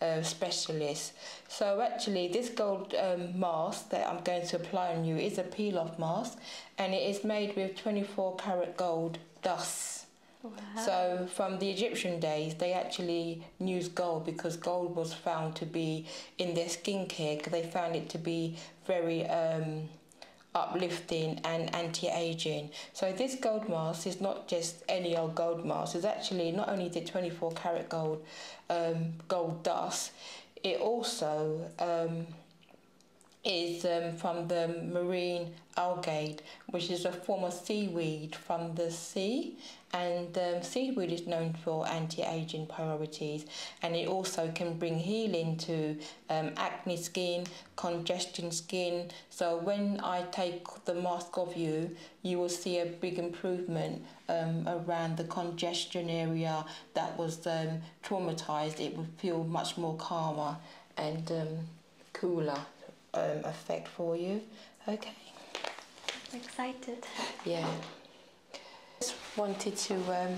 uh, specialist. So actually this gold um, mask that I'm going to apply on you is a peel off mask and it is made with 24 karat gold dust. So from the Egyptian days, they actually used gold because gold was found to be in their skincare because they found it to be very um, uplifting and anti-aging. So this gold mask is not just any old gold mask. is actually not only did 24 karat gold um, gold dust, it also um, is um, from the marine algae, which is a form of seaweed from the sea. And seaweed is known for anti aging properties, and it also can bring healing to acne skin, congestion skin. So, when I take the mask off you, you will see a big improvement um, around the congestion area that was um, traumatized, it would feel much more calmer and um, cooler effect for you. Okay. excited. Yeah. Just wanted to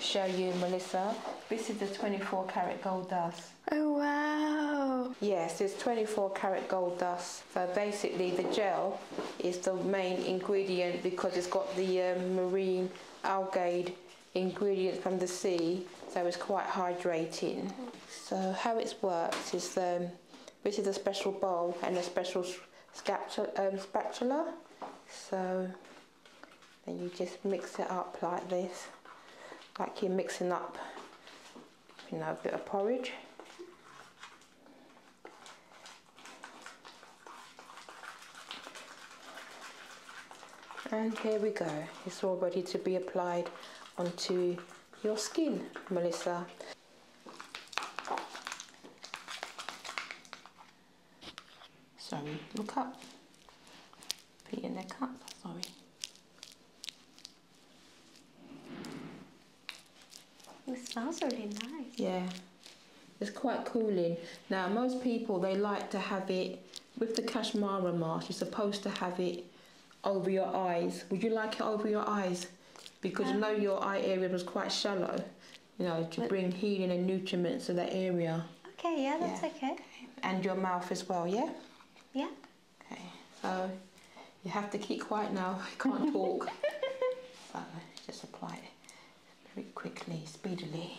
show you, Melissa. This is the 24 karat gold dust. Oh wow! Yes, it's 24 karat gold dust so basically the gel is the main ingredient because it's got the um, marine algae ingredients from the sea so it's quite hydrating. So how it's worked is um, this is a special bowl and a special um, spatula so then you just mix it up like this like you're mixing up you know, a bit of porridge. And here we go. It's all ready to be applied onto your skin, Melissa. Sorry, look up. Put your neck up. sorry. It smells really nice. Yeah. It's quite cooling. Now, most people, they like to have it with the cashmere mask. You're supposed to have it over your eyes. Would you like it over your eyes? Because um, know your eye area was quite shallow. You know, to bring healing and nutrients to that area. Okay, yeah, that's okay. And your mouth as well, yeah? Yeah. Okay, so you have to keep quiet now, (laughs) you can't talk. (laughs) but uh, just apply it very quickly, speedily.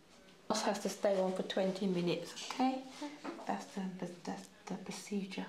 Boss has to stay on for 20 minutes, okay? That's the, that's the procedure.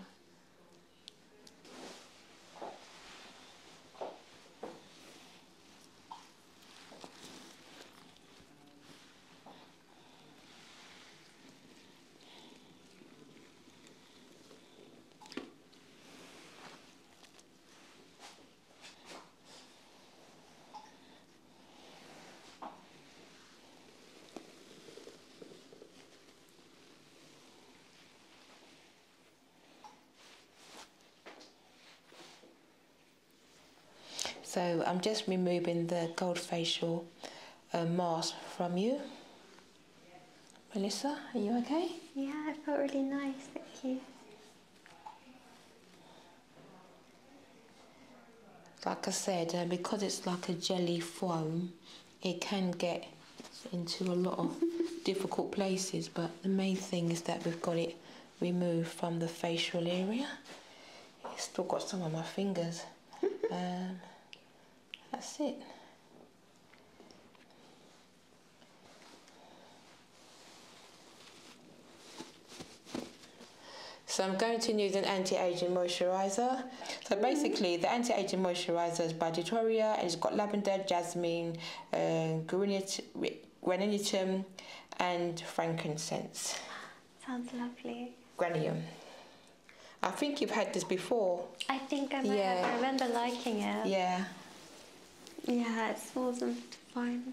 So I'm just removing the gold facial uh, mask from you. Melissa, are you okay? Yeah, I felt really nice, thank you like I said, uh, because it's like a jelly foam, it can get into a lot of (laughs) difficult places, but the main thing is that we've got it removed from the facial area. still got some on my fingers. (laughs) Um, that's it. So I'm going to use an anti-aging moisturiser. So basically the anti-aging moisturiser is by Tutoria and it's got lavender, jasmine, uh, grenadium and frankincense. Sounds lovely. Granium. I think you've had this before. I think I might yeah. I remember liking it. Yeah. Yeah, it smells fine.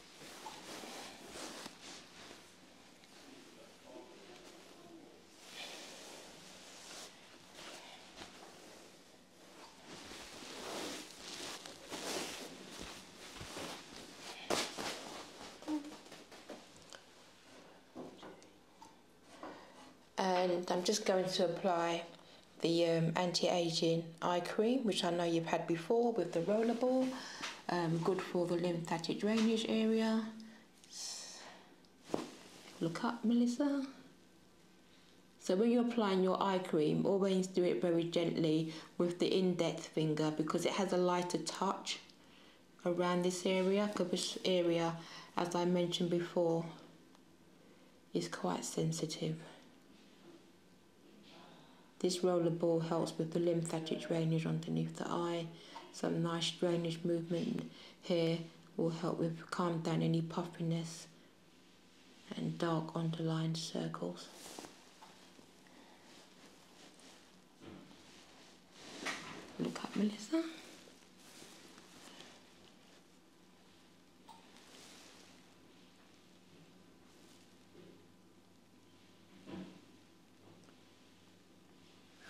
and I'm just going to apply the um, anti-aging eye cream, which I know you've had before with the roller ball. Um, good for the lymphatic drainage area. Look up, Melissa. So when you're applying your eye cream, always do it very gently with the index finger because it has a lighter touch around this area because this area, as I mentioned before, is quite sensitive. This roller ball helps with the lymphatic drainage underneath the eye. Some nice drainage movement here will help with calm down any puffiness and dark underlined circles. Look up, Melissa.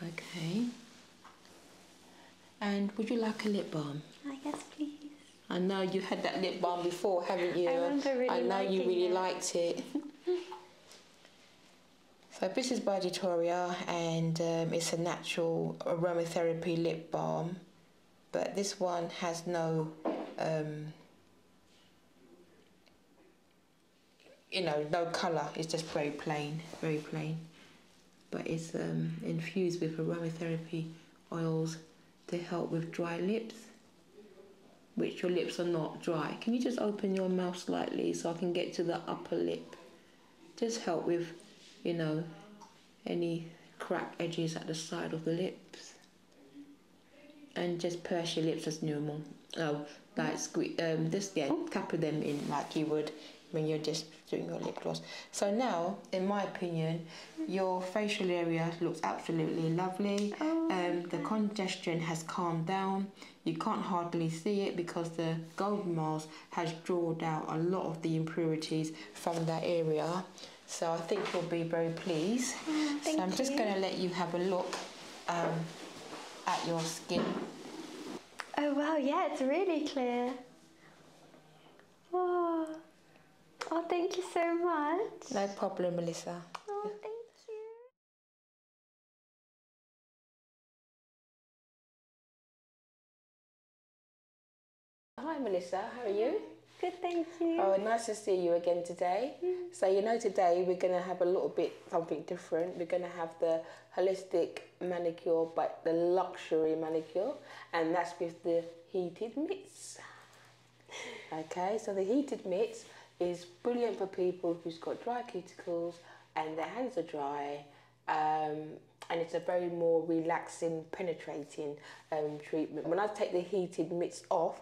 Okay. And would you like a lip balm? I ah, guess, please. I know you had that lip balm before, haven't you? I remember really I know you really liked it. (laughs) so this is by Detoria and um, it's a natural aromatherapy lip balm, but this one has no um, you know, no colour. It's just very plain, very plain. But it's um, infused with aromatherapy oils to help with dry lips, which your lips are not dry. Can you just open your mouth slightly so I can get to the upper lip? Just help with, you know, any crack edges at the side of the lips and just purse your lips as normal. Oh, like squeeze um, this yeah, couple them in like you would when you're just doing your lip gloss. So now, in my opinion, your facial area looks absolutely lovely. Oh. Um, the congestion has calmed down. You can't hardly see it because the golden mask has drawn out a lot of the impurities from that area. So I think you'll be very pleased. Mm, so I'm just going to let you have a look um, at your skin. Oh wow, yeah, it's really clear. Whoa. Oh, thank you so much. No problem, Melissa. Oh, thank Hi Melissa, how are you? Good, thank you. Oh, nice to see you again today. Mm-hmm. So, you know, today we're going to have a little bit something different. We're going to have the holistic manicure, but the luxury manicure, and that's with the heated mitts. (laughs) Okay, so the heated mitts is brilliant for people who's got dry cuticles and their hands are dry. Um, and it's a very more relaxing, penetrating um, treatment. When I take the heated mitts off,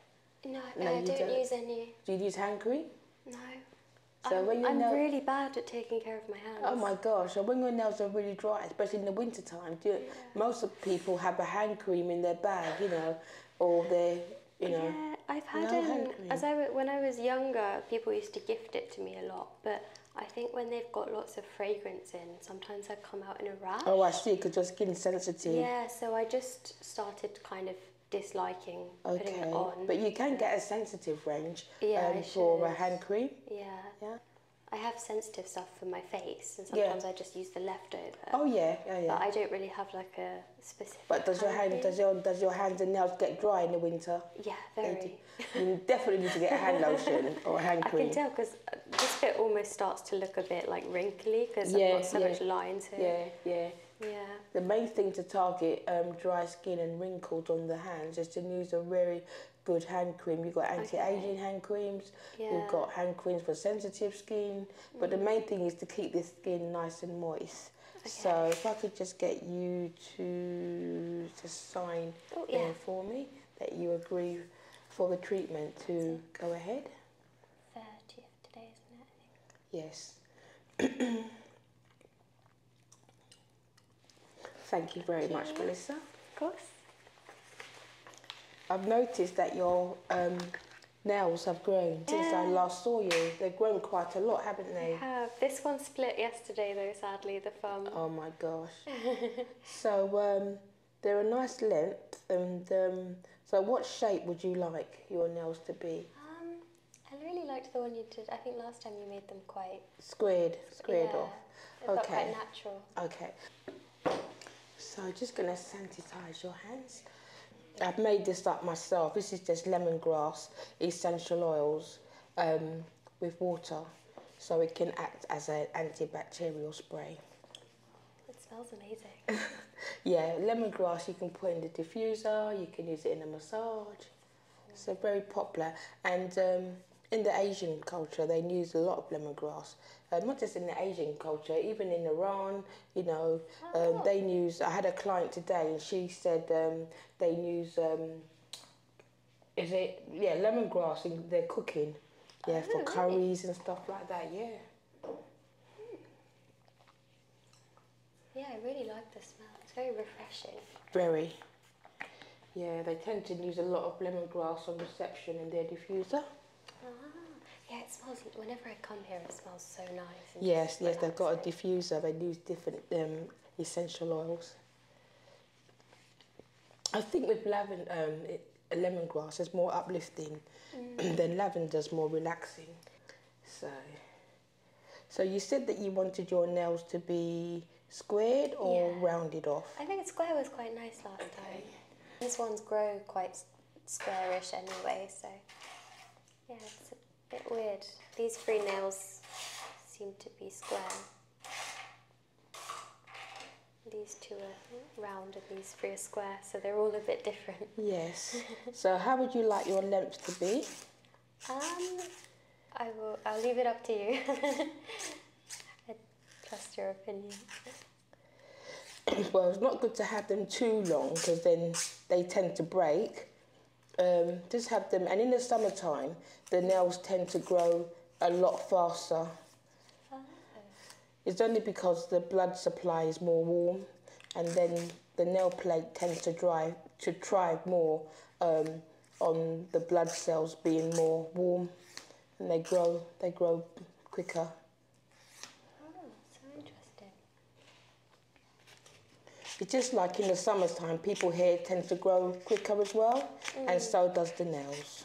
No, I don't, use any. Do you use hand cream? No. So I'm, when your i really bad at taking care of my hands. Oh my gosh! So when your nails are really dry, especially in the winter time, you... most people have a hand cream in their bag, you know, or their, you know. Yeah, I've had no um, as I when I was younger, people used to gift it to me a lot, but I think when they've got lots of fragrance appearance Sometimes I come out in a rash. Oh, I see, because your skin's sensitive. Yeah, so I just started kind of disliking putting it on. But you can get a sensitive range yeah, um, for a hand cream. Yeah. Yeah. I have sensitive stuff for my face, and sometimes I just use the leftover. Oh yeah, yeah, yeah. But I don't really have like a specific. But does your hand, does your does your hands and nails get dry in the winter? Yeah, very. You definitely need to get a hand lotion (laughs) or hand cream. I can tell because this bit almost starts to look a bit like wrinkly because I've got so much lines here. Yeah, yeah. Yeah. The main thing to target um, dry skin and wrinkles on the hands is to use a very good hand cream. You've got anti-aging hand creams, yeah. you've got hand creams for sensitive skin, but the main mm. thing is to keep the skin nice and moist. So if I could just get you to just sign oh, for me that you agree for the treatment to go ahead. 30th today, isn't it? Yes. (clears throat) Thank you very much, Melissa. Of course. I've noticed that your um, nails have grown since I last saw you. They've grown quite a lot, haven't they? have. This one split yesterday, though, sadly, the thumb. Oh my gosh. (laughs) so, um, they're a nice length, and um, so what shape would you like your nails to be? Um, I really liked the one you did. I think last time you made them quite squared, squared off. okay. natural. Okay. So just gonna sanitize your hands. I've made this up myself. This is just lemongrass essential oils um, with water, so it can act as an antibacterial spray. It smells amazing. (laughs) yeah, lemongrass you can put in the diffuser, you can use it in a massage. So very popular. And um, in the Asian culture, they use a lot of lemongrass. Uh, not just in the Asian culture, even in Iran, you know, oh, um, they use. I had a client today, and she said um, they use. is it yeah lemongrass in their cooking, yeah oh, for curries and stuff like that. Yeah. Hmm. Yeah, I really like the smell. It's very refreshing. Very. Yeah, they tend to use a lot of lemongrass on reception in their diffuser. Ah, yeah, it smells. Whenever I come here, it smells so nice. Yes, yes, they've got a diffuser. They use different um, essential oils. I think with lavender, um, lemongrass is more uplifting mm. than (clears throat) lavender's more relaxing. So, so you said that you wanted your nails to be squared or rounded off. I think square was quite nice last time. This one's grow quite squarish anyway, so yeah, it's a bit weird. These three nails seem to be square. These two are round and these three are square, so they're all a bit different. Yes. (laughs) so how would you like your length to be? Um, I will. I'll leave it up to you. (laughs) I trust your opinion. (clears throat) well, it's not good to have them too long because then they tend to break. Um, just have them, and in the summertime, the nails tend to grow a lot faster. It's only because the blood supply is more warm, and then the nail plate tends to drive to thrive more um, on the blood cells being more warm, and they grow they grow quicker. It's just like in the time, people here tends to grow quicker as well, and mm. so does the nails.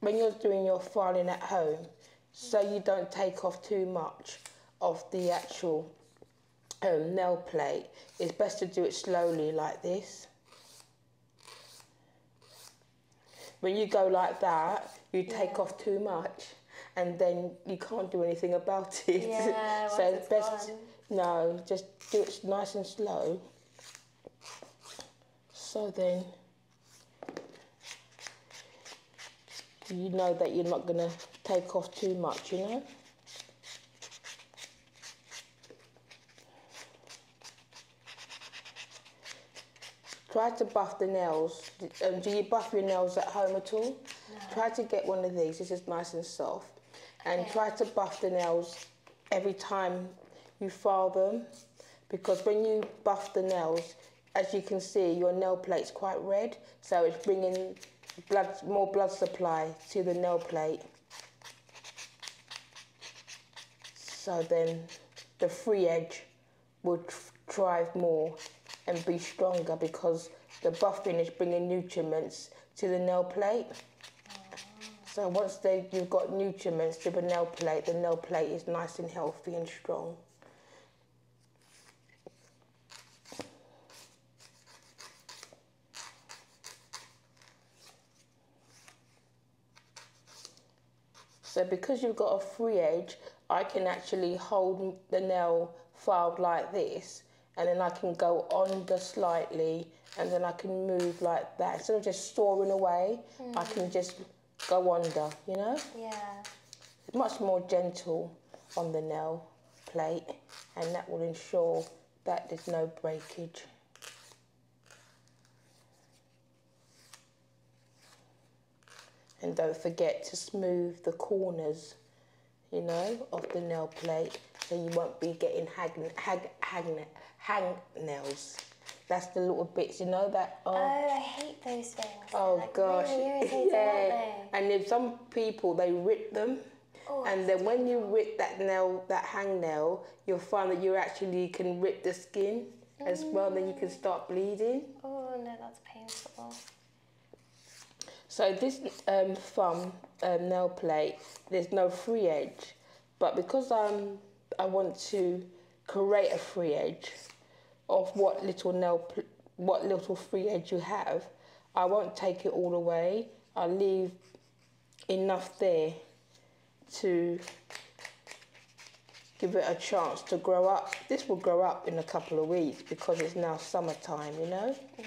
when you're doing your filing at home, so you don't take off too much of the actual um, nail plate, it's best to do it slowly like this. When you go like that, you take off too much and then you can't do anything about (laughs) it. Yeah, so best, gone. no, just do it nice and slow. So then you know that you're not going to take off too much, you know. Try to buff the nails. Um, do you buff your nails at home at all? Try to get one of these. This is nice and soft. And try to buff the nails every time you file them because when you buff the nails, as you can see, your nail plate is quite red, so it's bringing blood, more blood supply to the nail plate. So then the free edge will thrive more and be stronger because the buffing is bringing nutriments to the nail plate. So once you've got nutriments to the nail plate, the nail plate is nice and healthy and so because you've got a free edge, I can actually hold the nail filed like this and then I can go under slightly and then I can move like that. Instead of just storing away, I mm. can just go under, you know? Yeah. Much more gentle on the nail plate and that will ensure that there's no breakage. And don't forget to smooth the corners, you know, of the nail plate so you won't be getting hang, hang, hang, hang nails. That's the little bits, you know that. Oh, oh I hate those things. Oh gosh, yeah. And if some people they rip them, oh, and then when you rip that nail, that hang nail, you'll find that you actually can rip the skin as well. Then you can mm. start bleeding. Oh no, that's painful. So this um, thumb um, nail plate, there's no free edge, but because I'm I want to create a free edge of what little nail, what little free edge you have. I won't take it all away. I'll leave enough there to give it a chance to grow up. This will grow up in a couple of weeks because it's now summertime, you know? Yeah.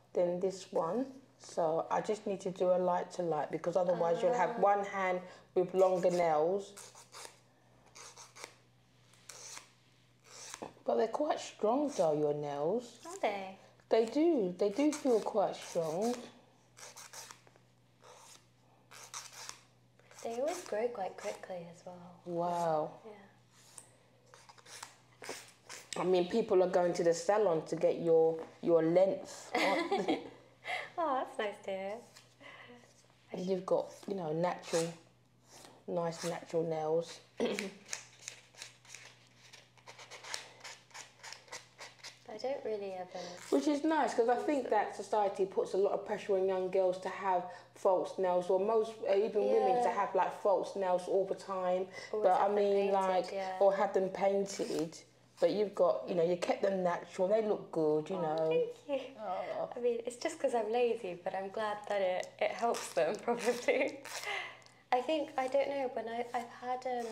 than this one. So I just need to do a light to light because otherwise you'll have ah. one hand with longer nails. But they're quite strong though, your nails. they? They do. They do feel quite strong. They always grow quite quickly as well. Wow. Yeah. I mean, people are going to the salon to get your your length. (laughs) oh, that's nice dear. And you've got you know natural, nice natural nails. (clears throat) I don't really ever. Which is nice because I think that society puts a lot of pressure on young girls to have false nails, or most uh, even women to have like false nails all the time but I mean, like, or have them painted. But you've got, you know, you kept them natural. They look good, you oh, know. Thank you. Oh. I mean, it's just because I'm lazy, but I'm glad that it, it helps them (laughs) probably. I think I don't know But I I've had um,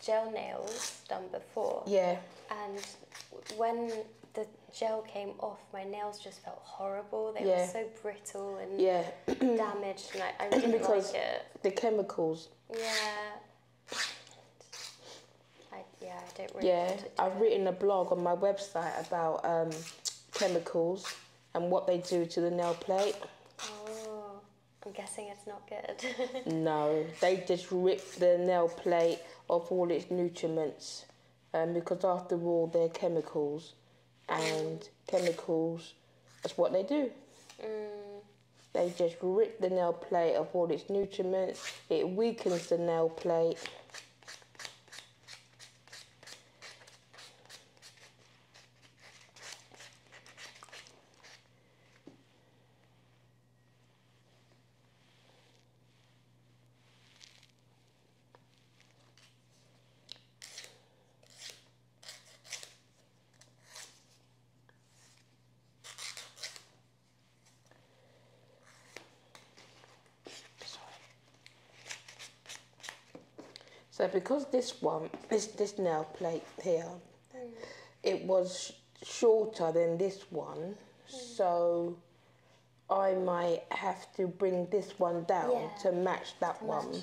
gel nails done before. Yeah. And when the gel came off, my nails just felt horrible. They were so brittle and yeah. damaged, and I, I (clears throat) didn't because like it. The chemicals yeah. I, yeah, I have written a blog on my website about um, chemicals and what they do to the nail plate. Oh, I'm guessing it's not good. (laughs) no, they just rip the nail plate of all its nutrients um, because, after all, they're chemicals and chemicals, that's what they do. Mm. They just rip the nail plate of all its nutrients. It weakens the nail plate. So because this one, this this nail plate here, mm. it was shorter than this one, mm. so I might have to bring this one down to match that one.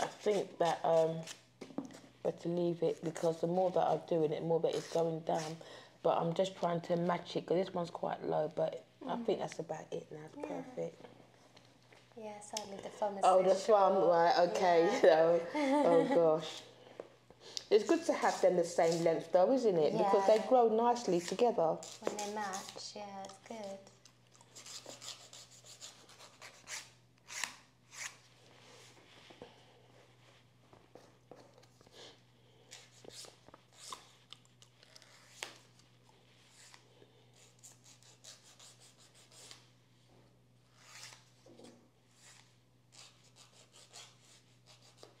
I think that um, I have leave it because the more that I'm doing it, the more that it's going down. But I'm just trying to match it because this one's quite low, but I mm. think that's about it now. It's yeah. perfect. Yeah, sadly the phone Oh, the farm, right? Okay, (laughs) oh, oh gosh. (laughs) It's good to have them the same length though, isn't it? Because they grow nicely together. When they match, yeah, it's good.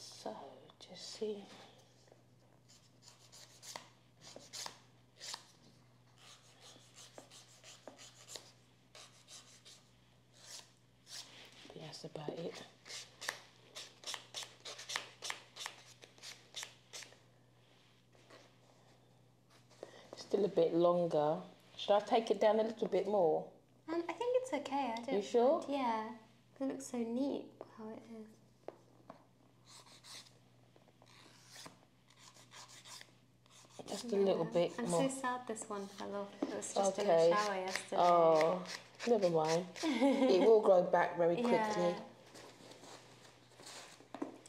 So, just see. That's about it. Still a bit longer. Should I take it down a little bit more? Um, I think it's okay. I don't. You sure? Yeah, it looks so neat how it is. Just a little bit I'm so sad this one fell off. It was just in the shower yesterday. Oh, never mind. (laughs) it will grow back very quickly.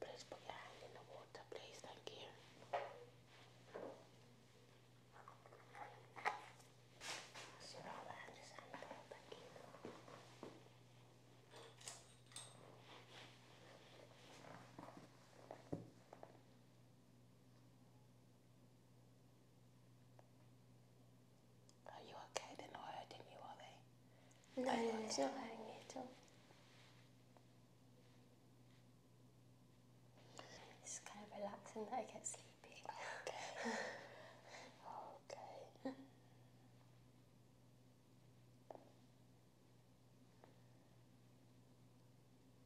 Please put your hand in the water, please. Thank you. Thank you. Are you okay? They're not hurting you, are they? No, are not hurting me at all. It's kind of relaxing that I get sleepy. Okay. (laughs) okay. (laughs)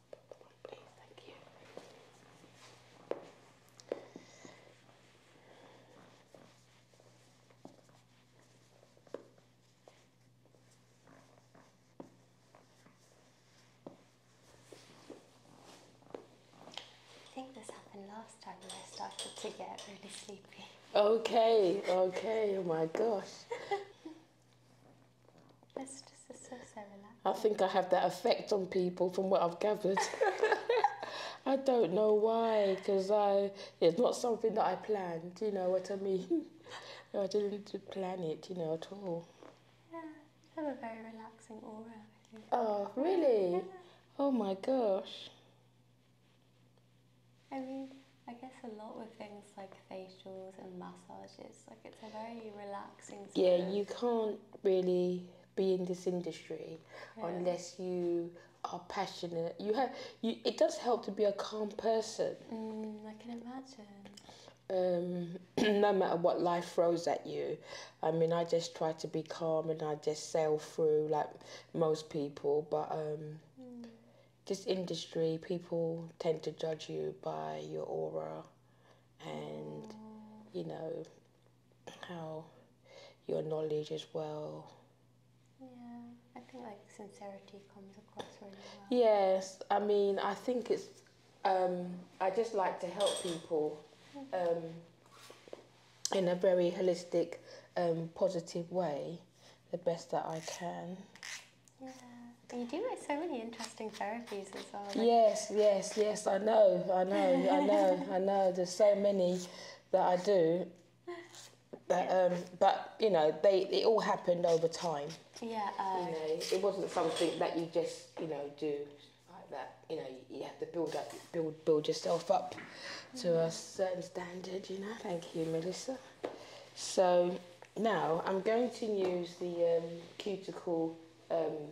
I think this happened last time when I started to get really sleepy. Okay, okay, oh my gosh. (laughs) I think I have that effect on people from what I've gathered. (laughs) I don't know why, because I it's not something that I planned. You know what I mean? (laughs) I didn't plan it. You know at all. Yeah, have a very relaxing aura. Oh really? Oh my gosh. I mean, I guess a lot with things like facials and massages, like it's a very relaxing. Yeah, you can't really be in this industry unless you are passionate. You have you. It does help to be a calm person. Mm, I can imagine. Um, (clears throat) no matter what life throws at you, I mean, I just try to be calm and I just sail through like most people. But um, mm. this industry, people tend to judge you by your aura, and oh. you know, how your knowledge as well. Yeah, I think like sincerity comes across really well. Yes, I mean, I think it's. Um, I just like to help people mm-hmm. um, in a very holistic, um, positive way, the best that I can. Yeah, you do like so many interesting therapies yes, yes, yes. I know, I know, I know, I know. There's so many that I do. but um, but you know, they it all happened over time. Yeah. you know, it wasn't something that you just you know do like that. You know, you have to build up, build build yourself up to a certain standard. You know. Thank you, Melissa. So now I'm going to use the um, cuticle um,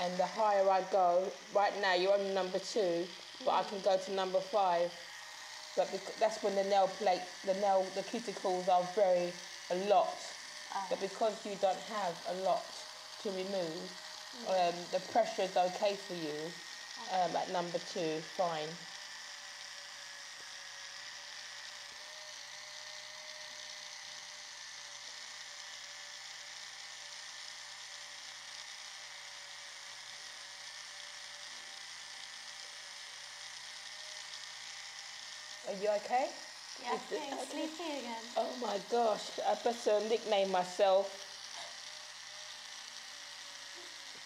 and the higher I go, right now you're on number two, but I can go to number five. But that's when the nail plate, the nail, the cuticles are very a lot. Ah. But because you don't have a lot to remove, mm. um, the pressure is okay for you ah. um, at number two, fine. Are you okay? Yeah, I'm okay? again. Oh my gosh, I better nickname myself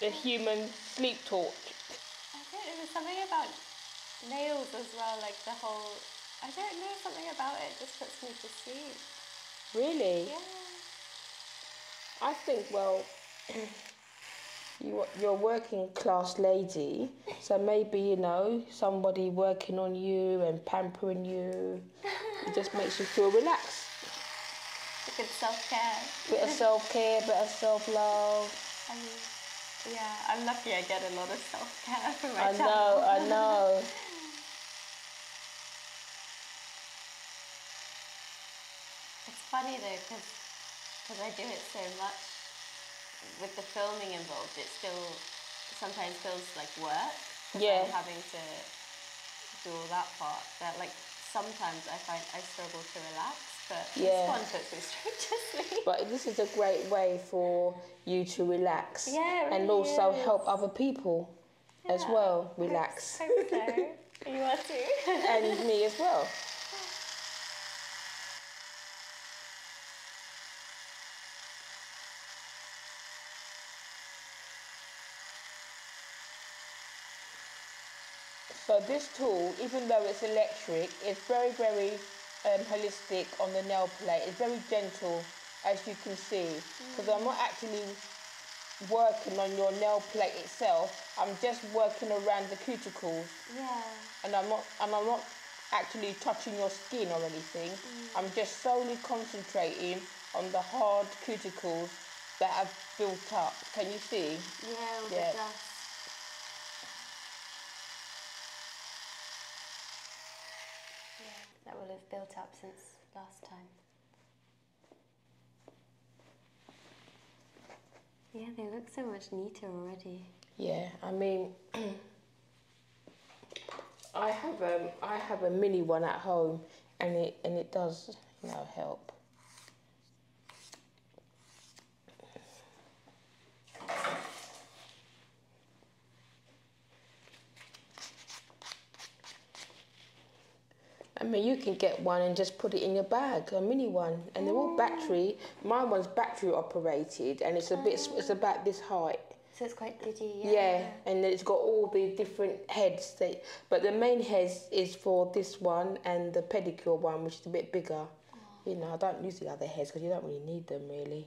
the human sleep talk. It was something about nails as well, like the whole, I don't know, something about it just puts me to sleep. Really? Yeah. I think, well, (clears throat) you, you're a working class lady, so maybe, you know, somebody working on you and pampering you, it just makes you feel relaxed. Bit of self care. Bit of self care, bit of self love. I mean, yeah, I'm lucky I get a lot of self care from my I channel. know, I (laughs) know. it's funny though, because because I do it so much with the filming involved, it still sometimes feels like work. Yeah. having to do all that part. That like sometimes I find I struggle to relax, yeah. this (laughs) But this is a great way for you to relax and also help other people as well relax. (laughs) you are too. (laughs) and me as well. So this tool, even though it's electric, is very, very um, holistic on the nail plate. It's very gentle, as you can see, because I'm not actually working on your nail plate itself. I'm just working around the cuticles. Yeah. And I'm not, and I'm not actually touching your skin or anything. Mm. I'm just solely concentrating on the hard cuticles that have built up. Can you see? yeah that will have built up since last time. Yeah, they look so much neater already. Yeah, I mean, (clears throat) I have um, have a mini one at home, and it and it does you know help. I mean, you can get one and just put it in your bag, a mini one, and they're all battery. My one's battery operated, and it's a bit, ah. it's about this height. So it's quite diddy, yeah. Yeah, and it's got all the different heads. That, but the main head is for this one and the pedicure one, which is a bit bigger. You know, I don't use the other heads because you don't really need them, really.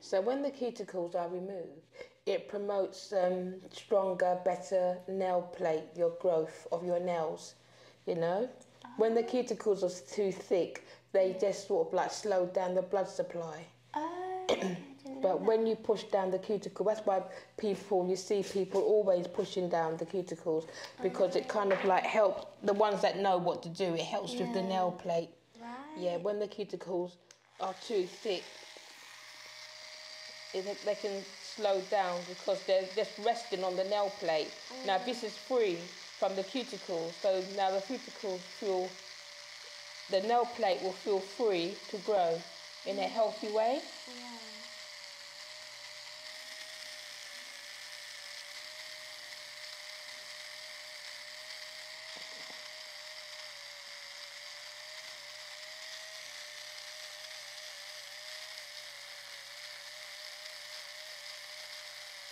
So when the cuticles are removed, it promotes um, stronger, better nail plate, your growth of your nails, you know? When the cuticles are too thick, they just sort of like slow down the blood supply. Oh, (clears throat) but when you push down the cuticle, that's why people, you see people always pushing down the cuticles because it kind of like help the ones that know what to do, it helps with the nail plate. Yeah, when the cuticles are too thick, they can slow down because they're just resting on the nail plate. Now, this mm. is free from the cuticle, so now the cuticles feel the nail plate will feel free to grow in a healthy way.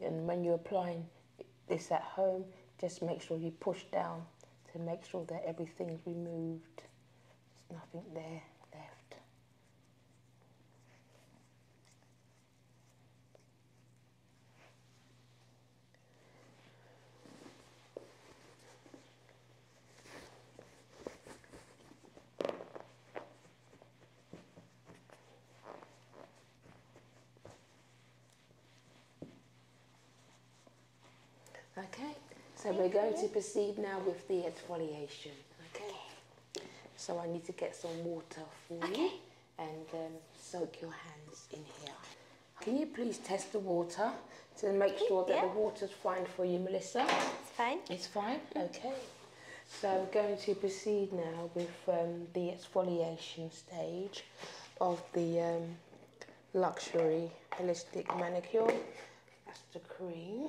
And when you're applying this at home, just make sure you push down to make sure that everything's removed. There's nothing there left. Okay, so we're going to proceed now with the exfoliation. Okay. So I need to get some water for okay. you and then um, soak your hands in here. Can you please test the water to make sure that the water's fine for you, Melissa? It's fine. It's fine? Mm. Okay. So we're going to proceed now with um, the exfoliation stage of the um, luxury holistic manicure. That's the cream.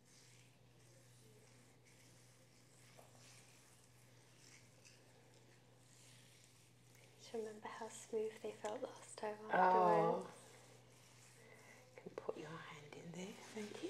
Do you remember how smooth they felt last time afterwards? Oh. You can put your hand in there, thank you.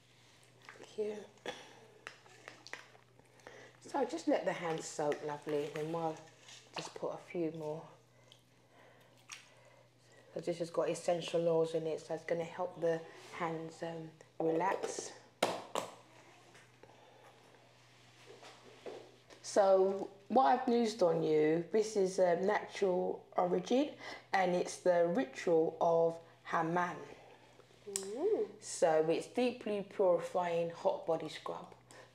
here. So just let the hands soak lovely and will just put a few more. So this has got essential oils in it so it's going to help the hands um, relax. So what I've used on you, this is um, natural origin and it's the ritual of Hammam. So it's deeply purifying hot body scrub.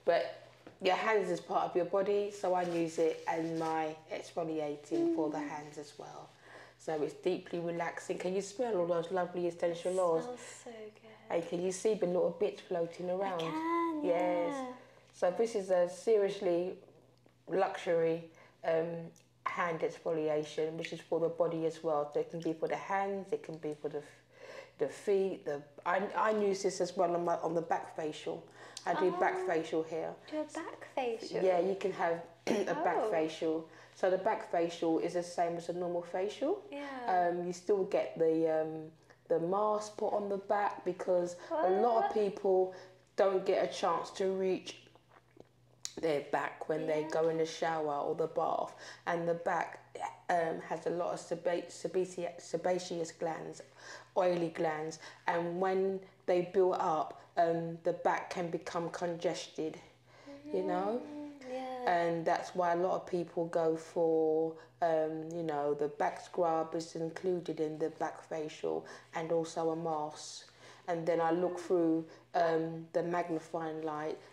But your hands is part of your body, so I use it and my exfoliating for the mm. hands as well. So it's deeply relaxing. Can you smell all those lovely essential oils? Smells so good. And can you see the little bits floating around? I can, yes. Yeah. So this is a seriously luxury um, hand exfoliation, which is for the body as well. it can be for the hands, it can be for the the feet. The I, I use this as well on my on the back facial. I do back ah, facial here. Do a back facial. Yeah, you can have (clears throat) a back oh. facial. So the back facial is the same as a normal facial. Yeah. Um, you still get the um, the mask put on the back because a lot of people don't get a chance to reach their back when they go in the shower or the bath, and the back um, has a lot of sebaceous glands, oily glands, and when they build up, um, the back can become congested, you know. Mm, yeah. And that's why a lot of people go for, um, you know, the back scrub is included in the back facial and also a mask. And then I look through um, the magnifying light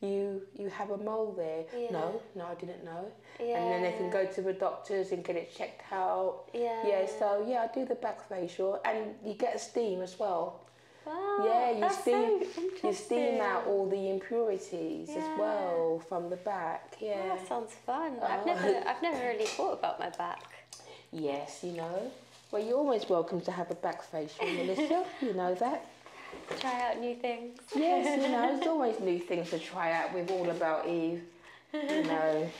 you you have a mole there. No, no, I didn't know. And then they can go to the doctors and get it checked out. Yeah. Yeah. So yeah, I do the back facial, and you get steam as well. Wow, yeah, you steam you steam out all the impurities as well from the back. Yeah, that sounds fun. I've uh, never (laughs) I've never really thought about my back. Yes, you know. Well, you're always welcome to have a back facial, Melissa. you know that try out new things. Yes, you know, there's (laughs) always new things to try out with All About Eve, you know.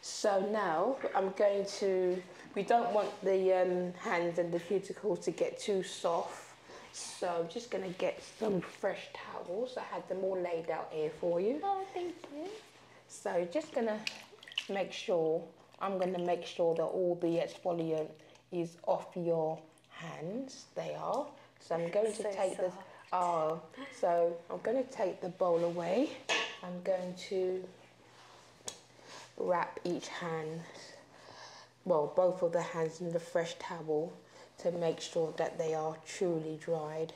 So now I'm going to, we don't want the um, hands and the cuticles to get too soft. So I'm just going to get some fresh towels. I had them all laid out here for you. Oh, thank you. So just going to make sure, I'm going to make sure that all the exfoliant is off your hands. They are. So I'm going to take soft. this. Oh, so I'm going to take the bowl away. I'm going to wrap each hand, well, both of the hands in the fresh towel to make sure that they are truly dried.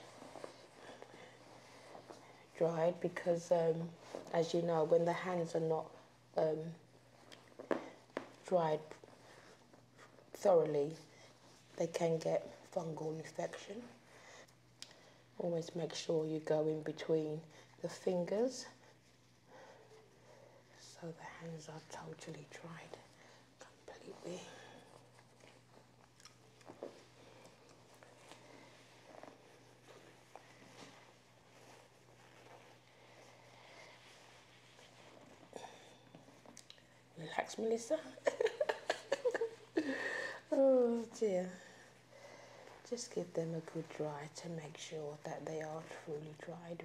Dried because, um, as you know, when the hands are not um, dried thoroughly, they can get fungal infection. Always make sure you go in between the fingers so the hands are totally dried completely. Relax, Melissa. (laughs) oh dear. Just give them a good dry to make sure that they are truly dried.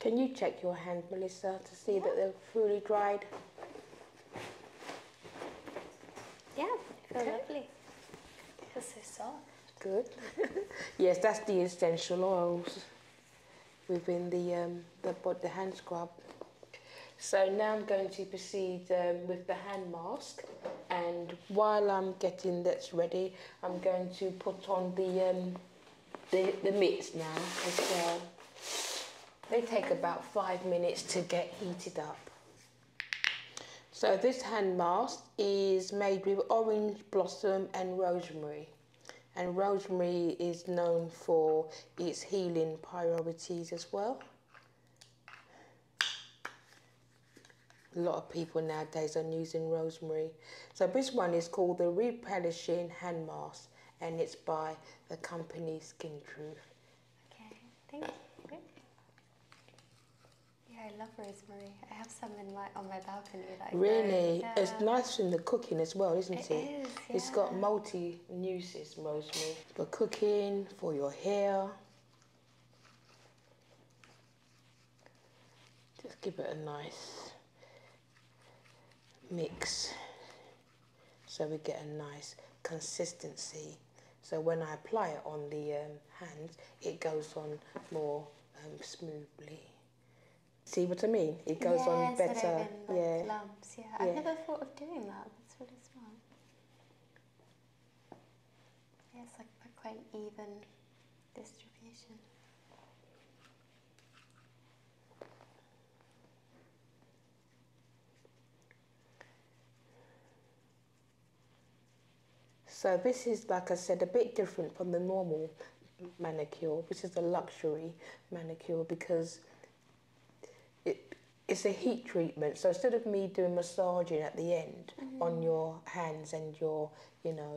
Can you check your hand, Melissa, to see that they're fully dried? Yeah, they okay. lovely. They're so soft. Good. (laughs) yes, that's the essential oils within the um, the, hand scrub. So now I'm going to proceed um, with the hand mask and while I'm getting this ready I'm going to put on the um, the, the meats now They take about five minutes to get heated up. So this hand mask is made with orange blossom and rosemary. And rosemary is known for its healing properties as well a lot of people nowadays are using rosemary. So this one is called the Replenishing Hand Mask and it's by the company Skin Truth. Okay, thank you. Yeah, I love rosemary. I have some in my on my balcony. really, it's nice in the cooking as well, isn't it? It is. Yeah. its it has got multi uses, rosemary for cooking, for your hair. Just give it a nice mix so we get a nice consistency. So when I apply it on the um, hands, it goes on more um, smoothly. See what I mean? It goes on better. yeah. Lumps. yeah. i never thought of doing that. That's really smart. Yeah, it's like quite even distribution. So this is, like I said, a bit different from the normal manicure. which is a luxury manicure because it, it's a heat treatment. So instead of me doing massaging at the end mm-hmm. on your hands and your, you know,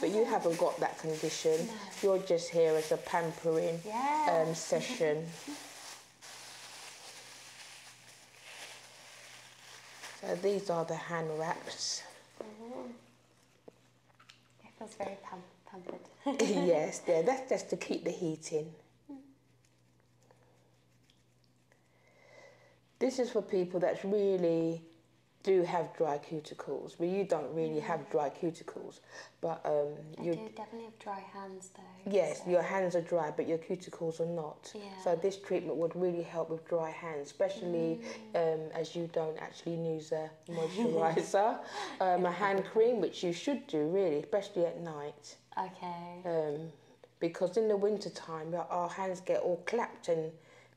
but you haven't got that condition. You're just here as a pampering um, session. (laughs) so these are the hand wraps. Mm-hmm. It feels very pampered. (laughs) yes, there. (laughs) That's just to keep the heat in. Hmm. This is for people that's really do have dry cuticles, but you don't really have mm. dry cuticles. But um, you definitely have dry hands though. Yes, your hands are dry, but your cuticles are not. Yeah. So this treatment would really help with dry hands, especially mm. um, as you don't actually use a (laughs) moisturizer, um, a hand cream, which you should do really, especially at night. Okay. Um, because in the winter time, our hands get all clapped and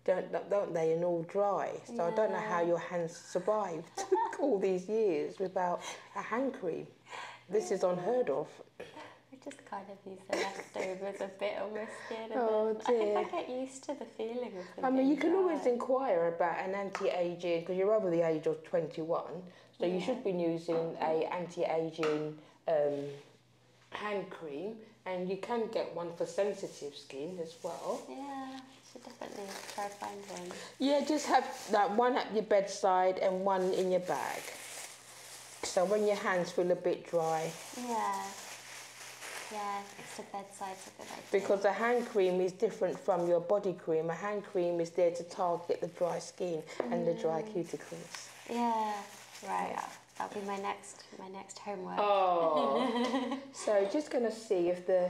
don't don't they and all dry. So I don't know how your hands survive. (laughs) all these years without a hand cream. This is unheard of. I just kind of use the leftovers a bit on my skin. oh dear. I, I get used to the feeling of the I mean, you can always inquire about an anti-aging, because you're over the age of 21, so you should be using a anti-aging um, hand cream, and you can get one for sensitive skin as well. Yeah. So definitely try to Yeah, just have like one at your bedside and one in your bag. So when your hands feel a bit dry. Yeah. Yeah, it's the bedside, a good Because a hand cream is different from your body cream. A hand cream is there to target the dry skin and the dry mm. cuticles. Yeah, right. Uh, that'll be my next my next homework. Oh. (laughs) so just gonna see if the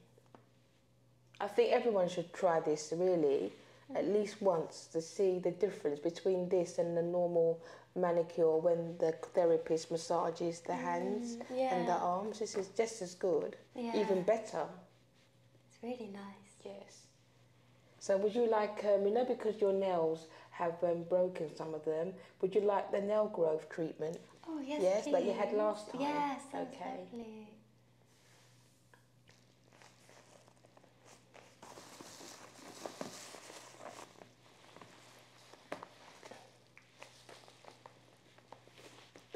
I think everyone should try this really at least once to see the difference between this and the normal manicure when the therapist massages the mm, hands and the arms. This is just as good, even better. It's really nice. Yes. So would you like, um, you know, because your nails have um, broken some of them, would you like the nail growth treatment? Oh yes. Yes, please. you had last time. Yes. Okay.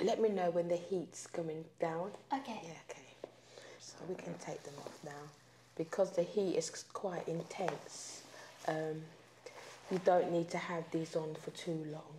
Let me know when the heat's coming down. Okay. Yeah, okay. So we can take them off now. Because the heat is quite intense, um, you don't need to have these on for too long.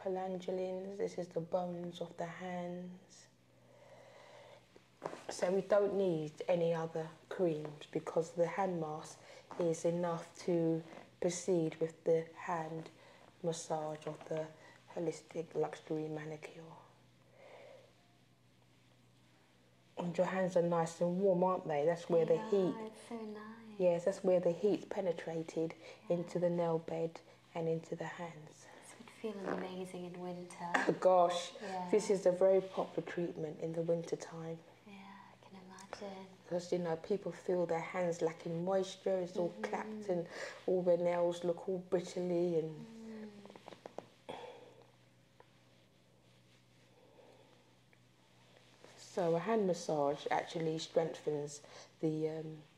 palangelins, this is the bones of the hands. So we don't need any other creams because the hand mask is enough to proceed with the hand massage of the holistic luxury manicure. And your hands are nice and warm, aren't they? That's where the heat. So nice. Yes, that's where the heat penetrated into the nail bed and into the hands. This would feel amazing in winter. Oh, (laughs) gosh, this is a very popular treatment in the winter time. Yeah, I can imagine. Because, you know, people feel their hands lacking moisture, it's all clapped mm-hmm. and all their nails look all brittly and... Mm. So a hand massage actually strengthens the um,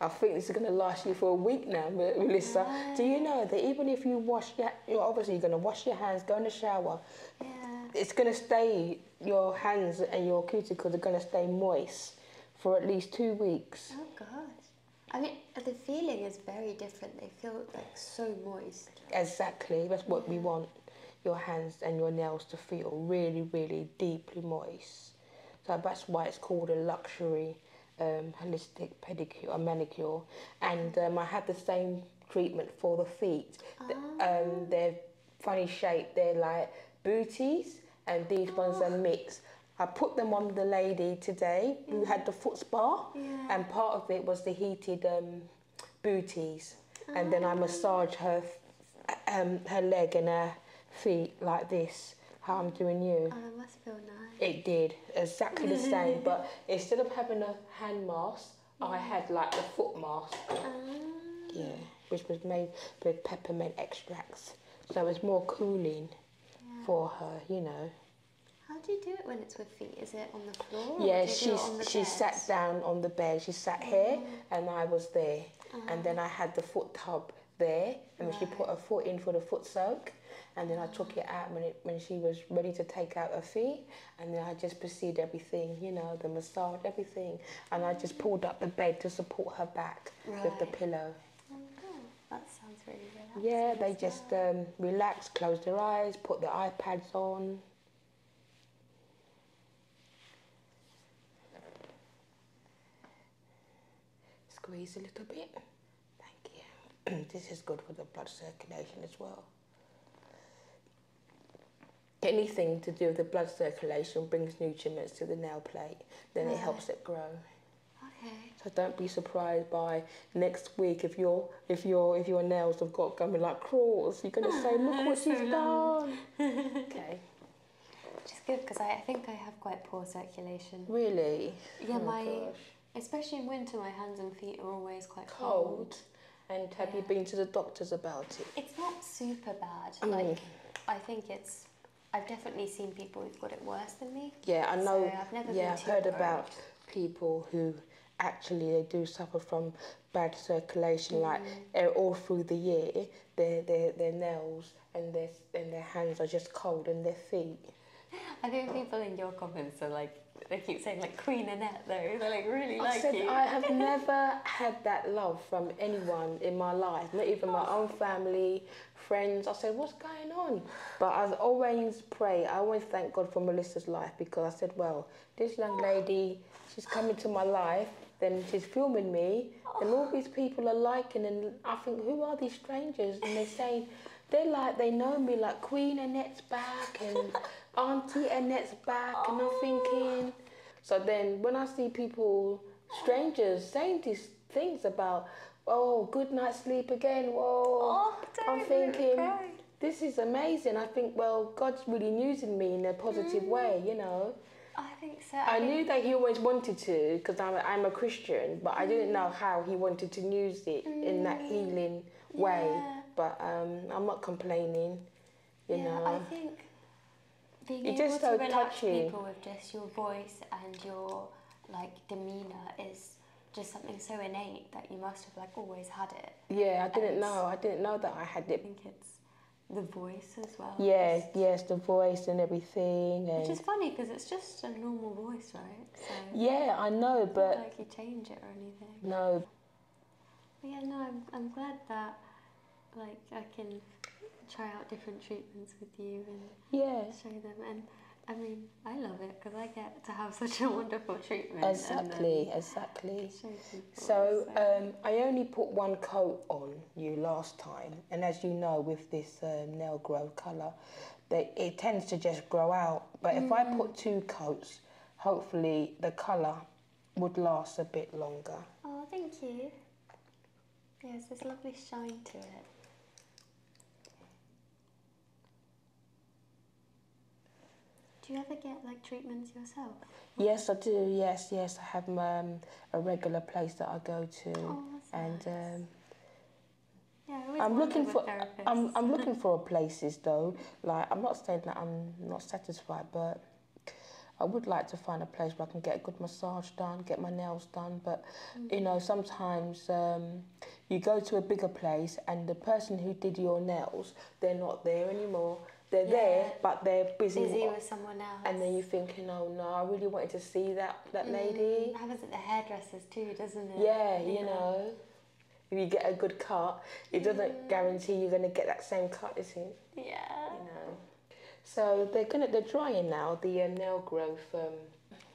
I think this is going to last you for a week now, (laughs) Melissa. Do you know that even if you wash your, you're obviously going to wash your hands, go in the shower. Yeah. It's going to stay. Your hands and your cuticles are going to stay moist for at least two weeks. Oh gosh. I mean, the feeling is very different. They feel like so moist. Exactly. That's what we want. Your hands and your nails to feel really, really deeply moist. So that's why it's called a luxury um, holistic pedicure, manicure. And um, I had the same treatment for the feet. Um, ah. they're funny shape. They're like booties, and these ones are ah. mixed. I put them on the lady today who had the foot spa, and part of it was the heated um, booties. And then I ah. massage her um, her leg and her feet like this, how I'm doing you. Oh, that must feel nice. It did, exactly the same, (laughs) but instead of having a hand mask, I had like the foot mask. Um. Yeah, which was made with peppermint extracts. So it was more cooling for her, you know. How do you do it when it's with feet? Is it on the floor? Yeah, she she sat down on the bed. She sat here, oh. and I was there. And then uh-huh. I had the foot tub there and right. she put her foot in for the foot soak and then I took it out when, it, when she was ready to take out her feet and then I just proceeded everything, you know, the massage, everything. And I just pulled up the bed to support her back with the pillow. Oh that sounds really good. Yeah, they just um, relax, close their eyes, put their iPads on. Squeeze a little bit. Thank you. (clears throat) this is good for the blood circulation as well. Anything to do with the blood circulation brings nutrients to the nail plate, then it helps it grow. Okay. So don't be surprised by next week if your if your if your nails have got going like crawls. You're gonna say, look what (laughs) she's done. (laughs) okay. Which is good because I, think I have quite poor circulation. Really? Yeah, oh, my especially in winter, my hands and feet are always quite cold. And have you been to the doctors about it? It's not super bad. Mm. Like I think it's. I've definitely seen people who've got it worse than me. Yeah, I know. yeah, I've heard about people who actually they do suffer from bad circulation, like mm. eh, all through the year, their their their nails and their and their hands are just cold and their feet. I think people in your comments are like they keep saying like Queen Annette though. They're like really I said, I have (laughs) never had that love from anyone in my life, not even my own family, friends. I said, what's going on? But I always pray. I always thank God for Melissa's life because I said, well, this young lady, she's come into my life then she's filming me, and all these people are liking, and I think, who are these strangers? And they're saying, they're like, they know me, like Queen Annette's back, and (laughs) Auntie Annette's back, and I'm thinking. So then when I see people, strangers, saying these things about, oh, good night sleep again, whoa, oh, I'm thinking. This is amazing. I think, well, God's really using me in a positive mm. way, you know. I think so. I, knew that he always wanted to because I'm, I'm a Christian, but I didn't know how he wanted to use it in that mm. healing way. But um, I'm not complaining, you know. I think being able just so to relax people with just your voice and your like demeanor is just something so innate that you must have like always had it. Yeah, I didn't know. I didn't know that I had it. I the voice as well. Yes, yes, the voice and everything. And which is funny because it's just a normal voice, right? yeah, I know, but not like you change it or anything. No. yeah, no, I'm I'm glad that like I can try out different treatments with you and yeah, show them and. I mean, I love it because I get to have (laughs) such a wonderful treatment. Exactly, exactly. so, so. Um, I only put one coat on you last time, and as you know, with this uh, nail grow colour, it tends to just grow out. But if I put two coats, hopefully the colour would last a bit longer. Oh, thank you. Yes, this lovely shine to it. Do you ever get like treatments yourself? Yes, I do. Yes, yes, I have my. Um, a regular place that I go to, oh, and um, yeah, I'm looking for I'm I'm (laughs) looking for places though. Like I'm not saying that I'm not satisfied, but I would like to find a place where I can get a good massage done, get my nails done. But you know, mm. sometimes um, you go to a bigger place and the person who did your nails, they're not there anymore they're there, but they're busy, busy with someone else. And then you're thinking, oh no, I really wanted to see that that that mm, lady. Happens at the hairdressers too, doesn't it? Yeah, you, know. If you get a good cut, it doesn't mm. guarantee you're going to get that same cut, is it? Yeah. You know. So they're gonna they're drying now the uh, nail growth. Um,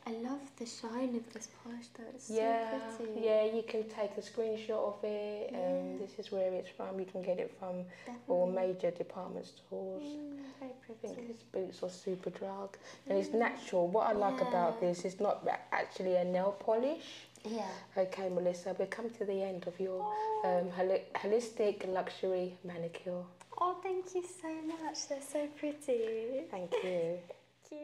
I love the shine of this polish That's yeah, so pretty. Yeah, you can take a screenshot of it. Yeah. this is where it's from. You can get it from all major department stores. Mm, I think his boots are super drug. And it's natural. What I like about this is not actually a nail polish. Yeah. Okay, Melissa, we've come to the end of your oh. um, holistic luxury manicure. Oh, thank you so much. They're so pretty. Thank you. (laughs) thank you.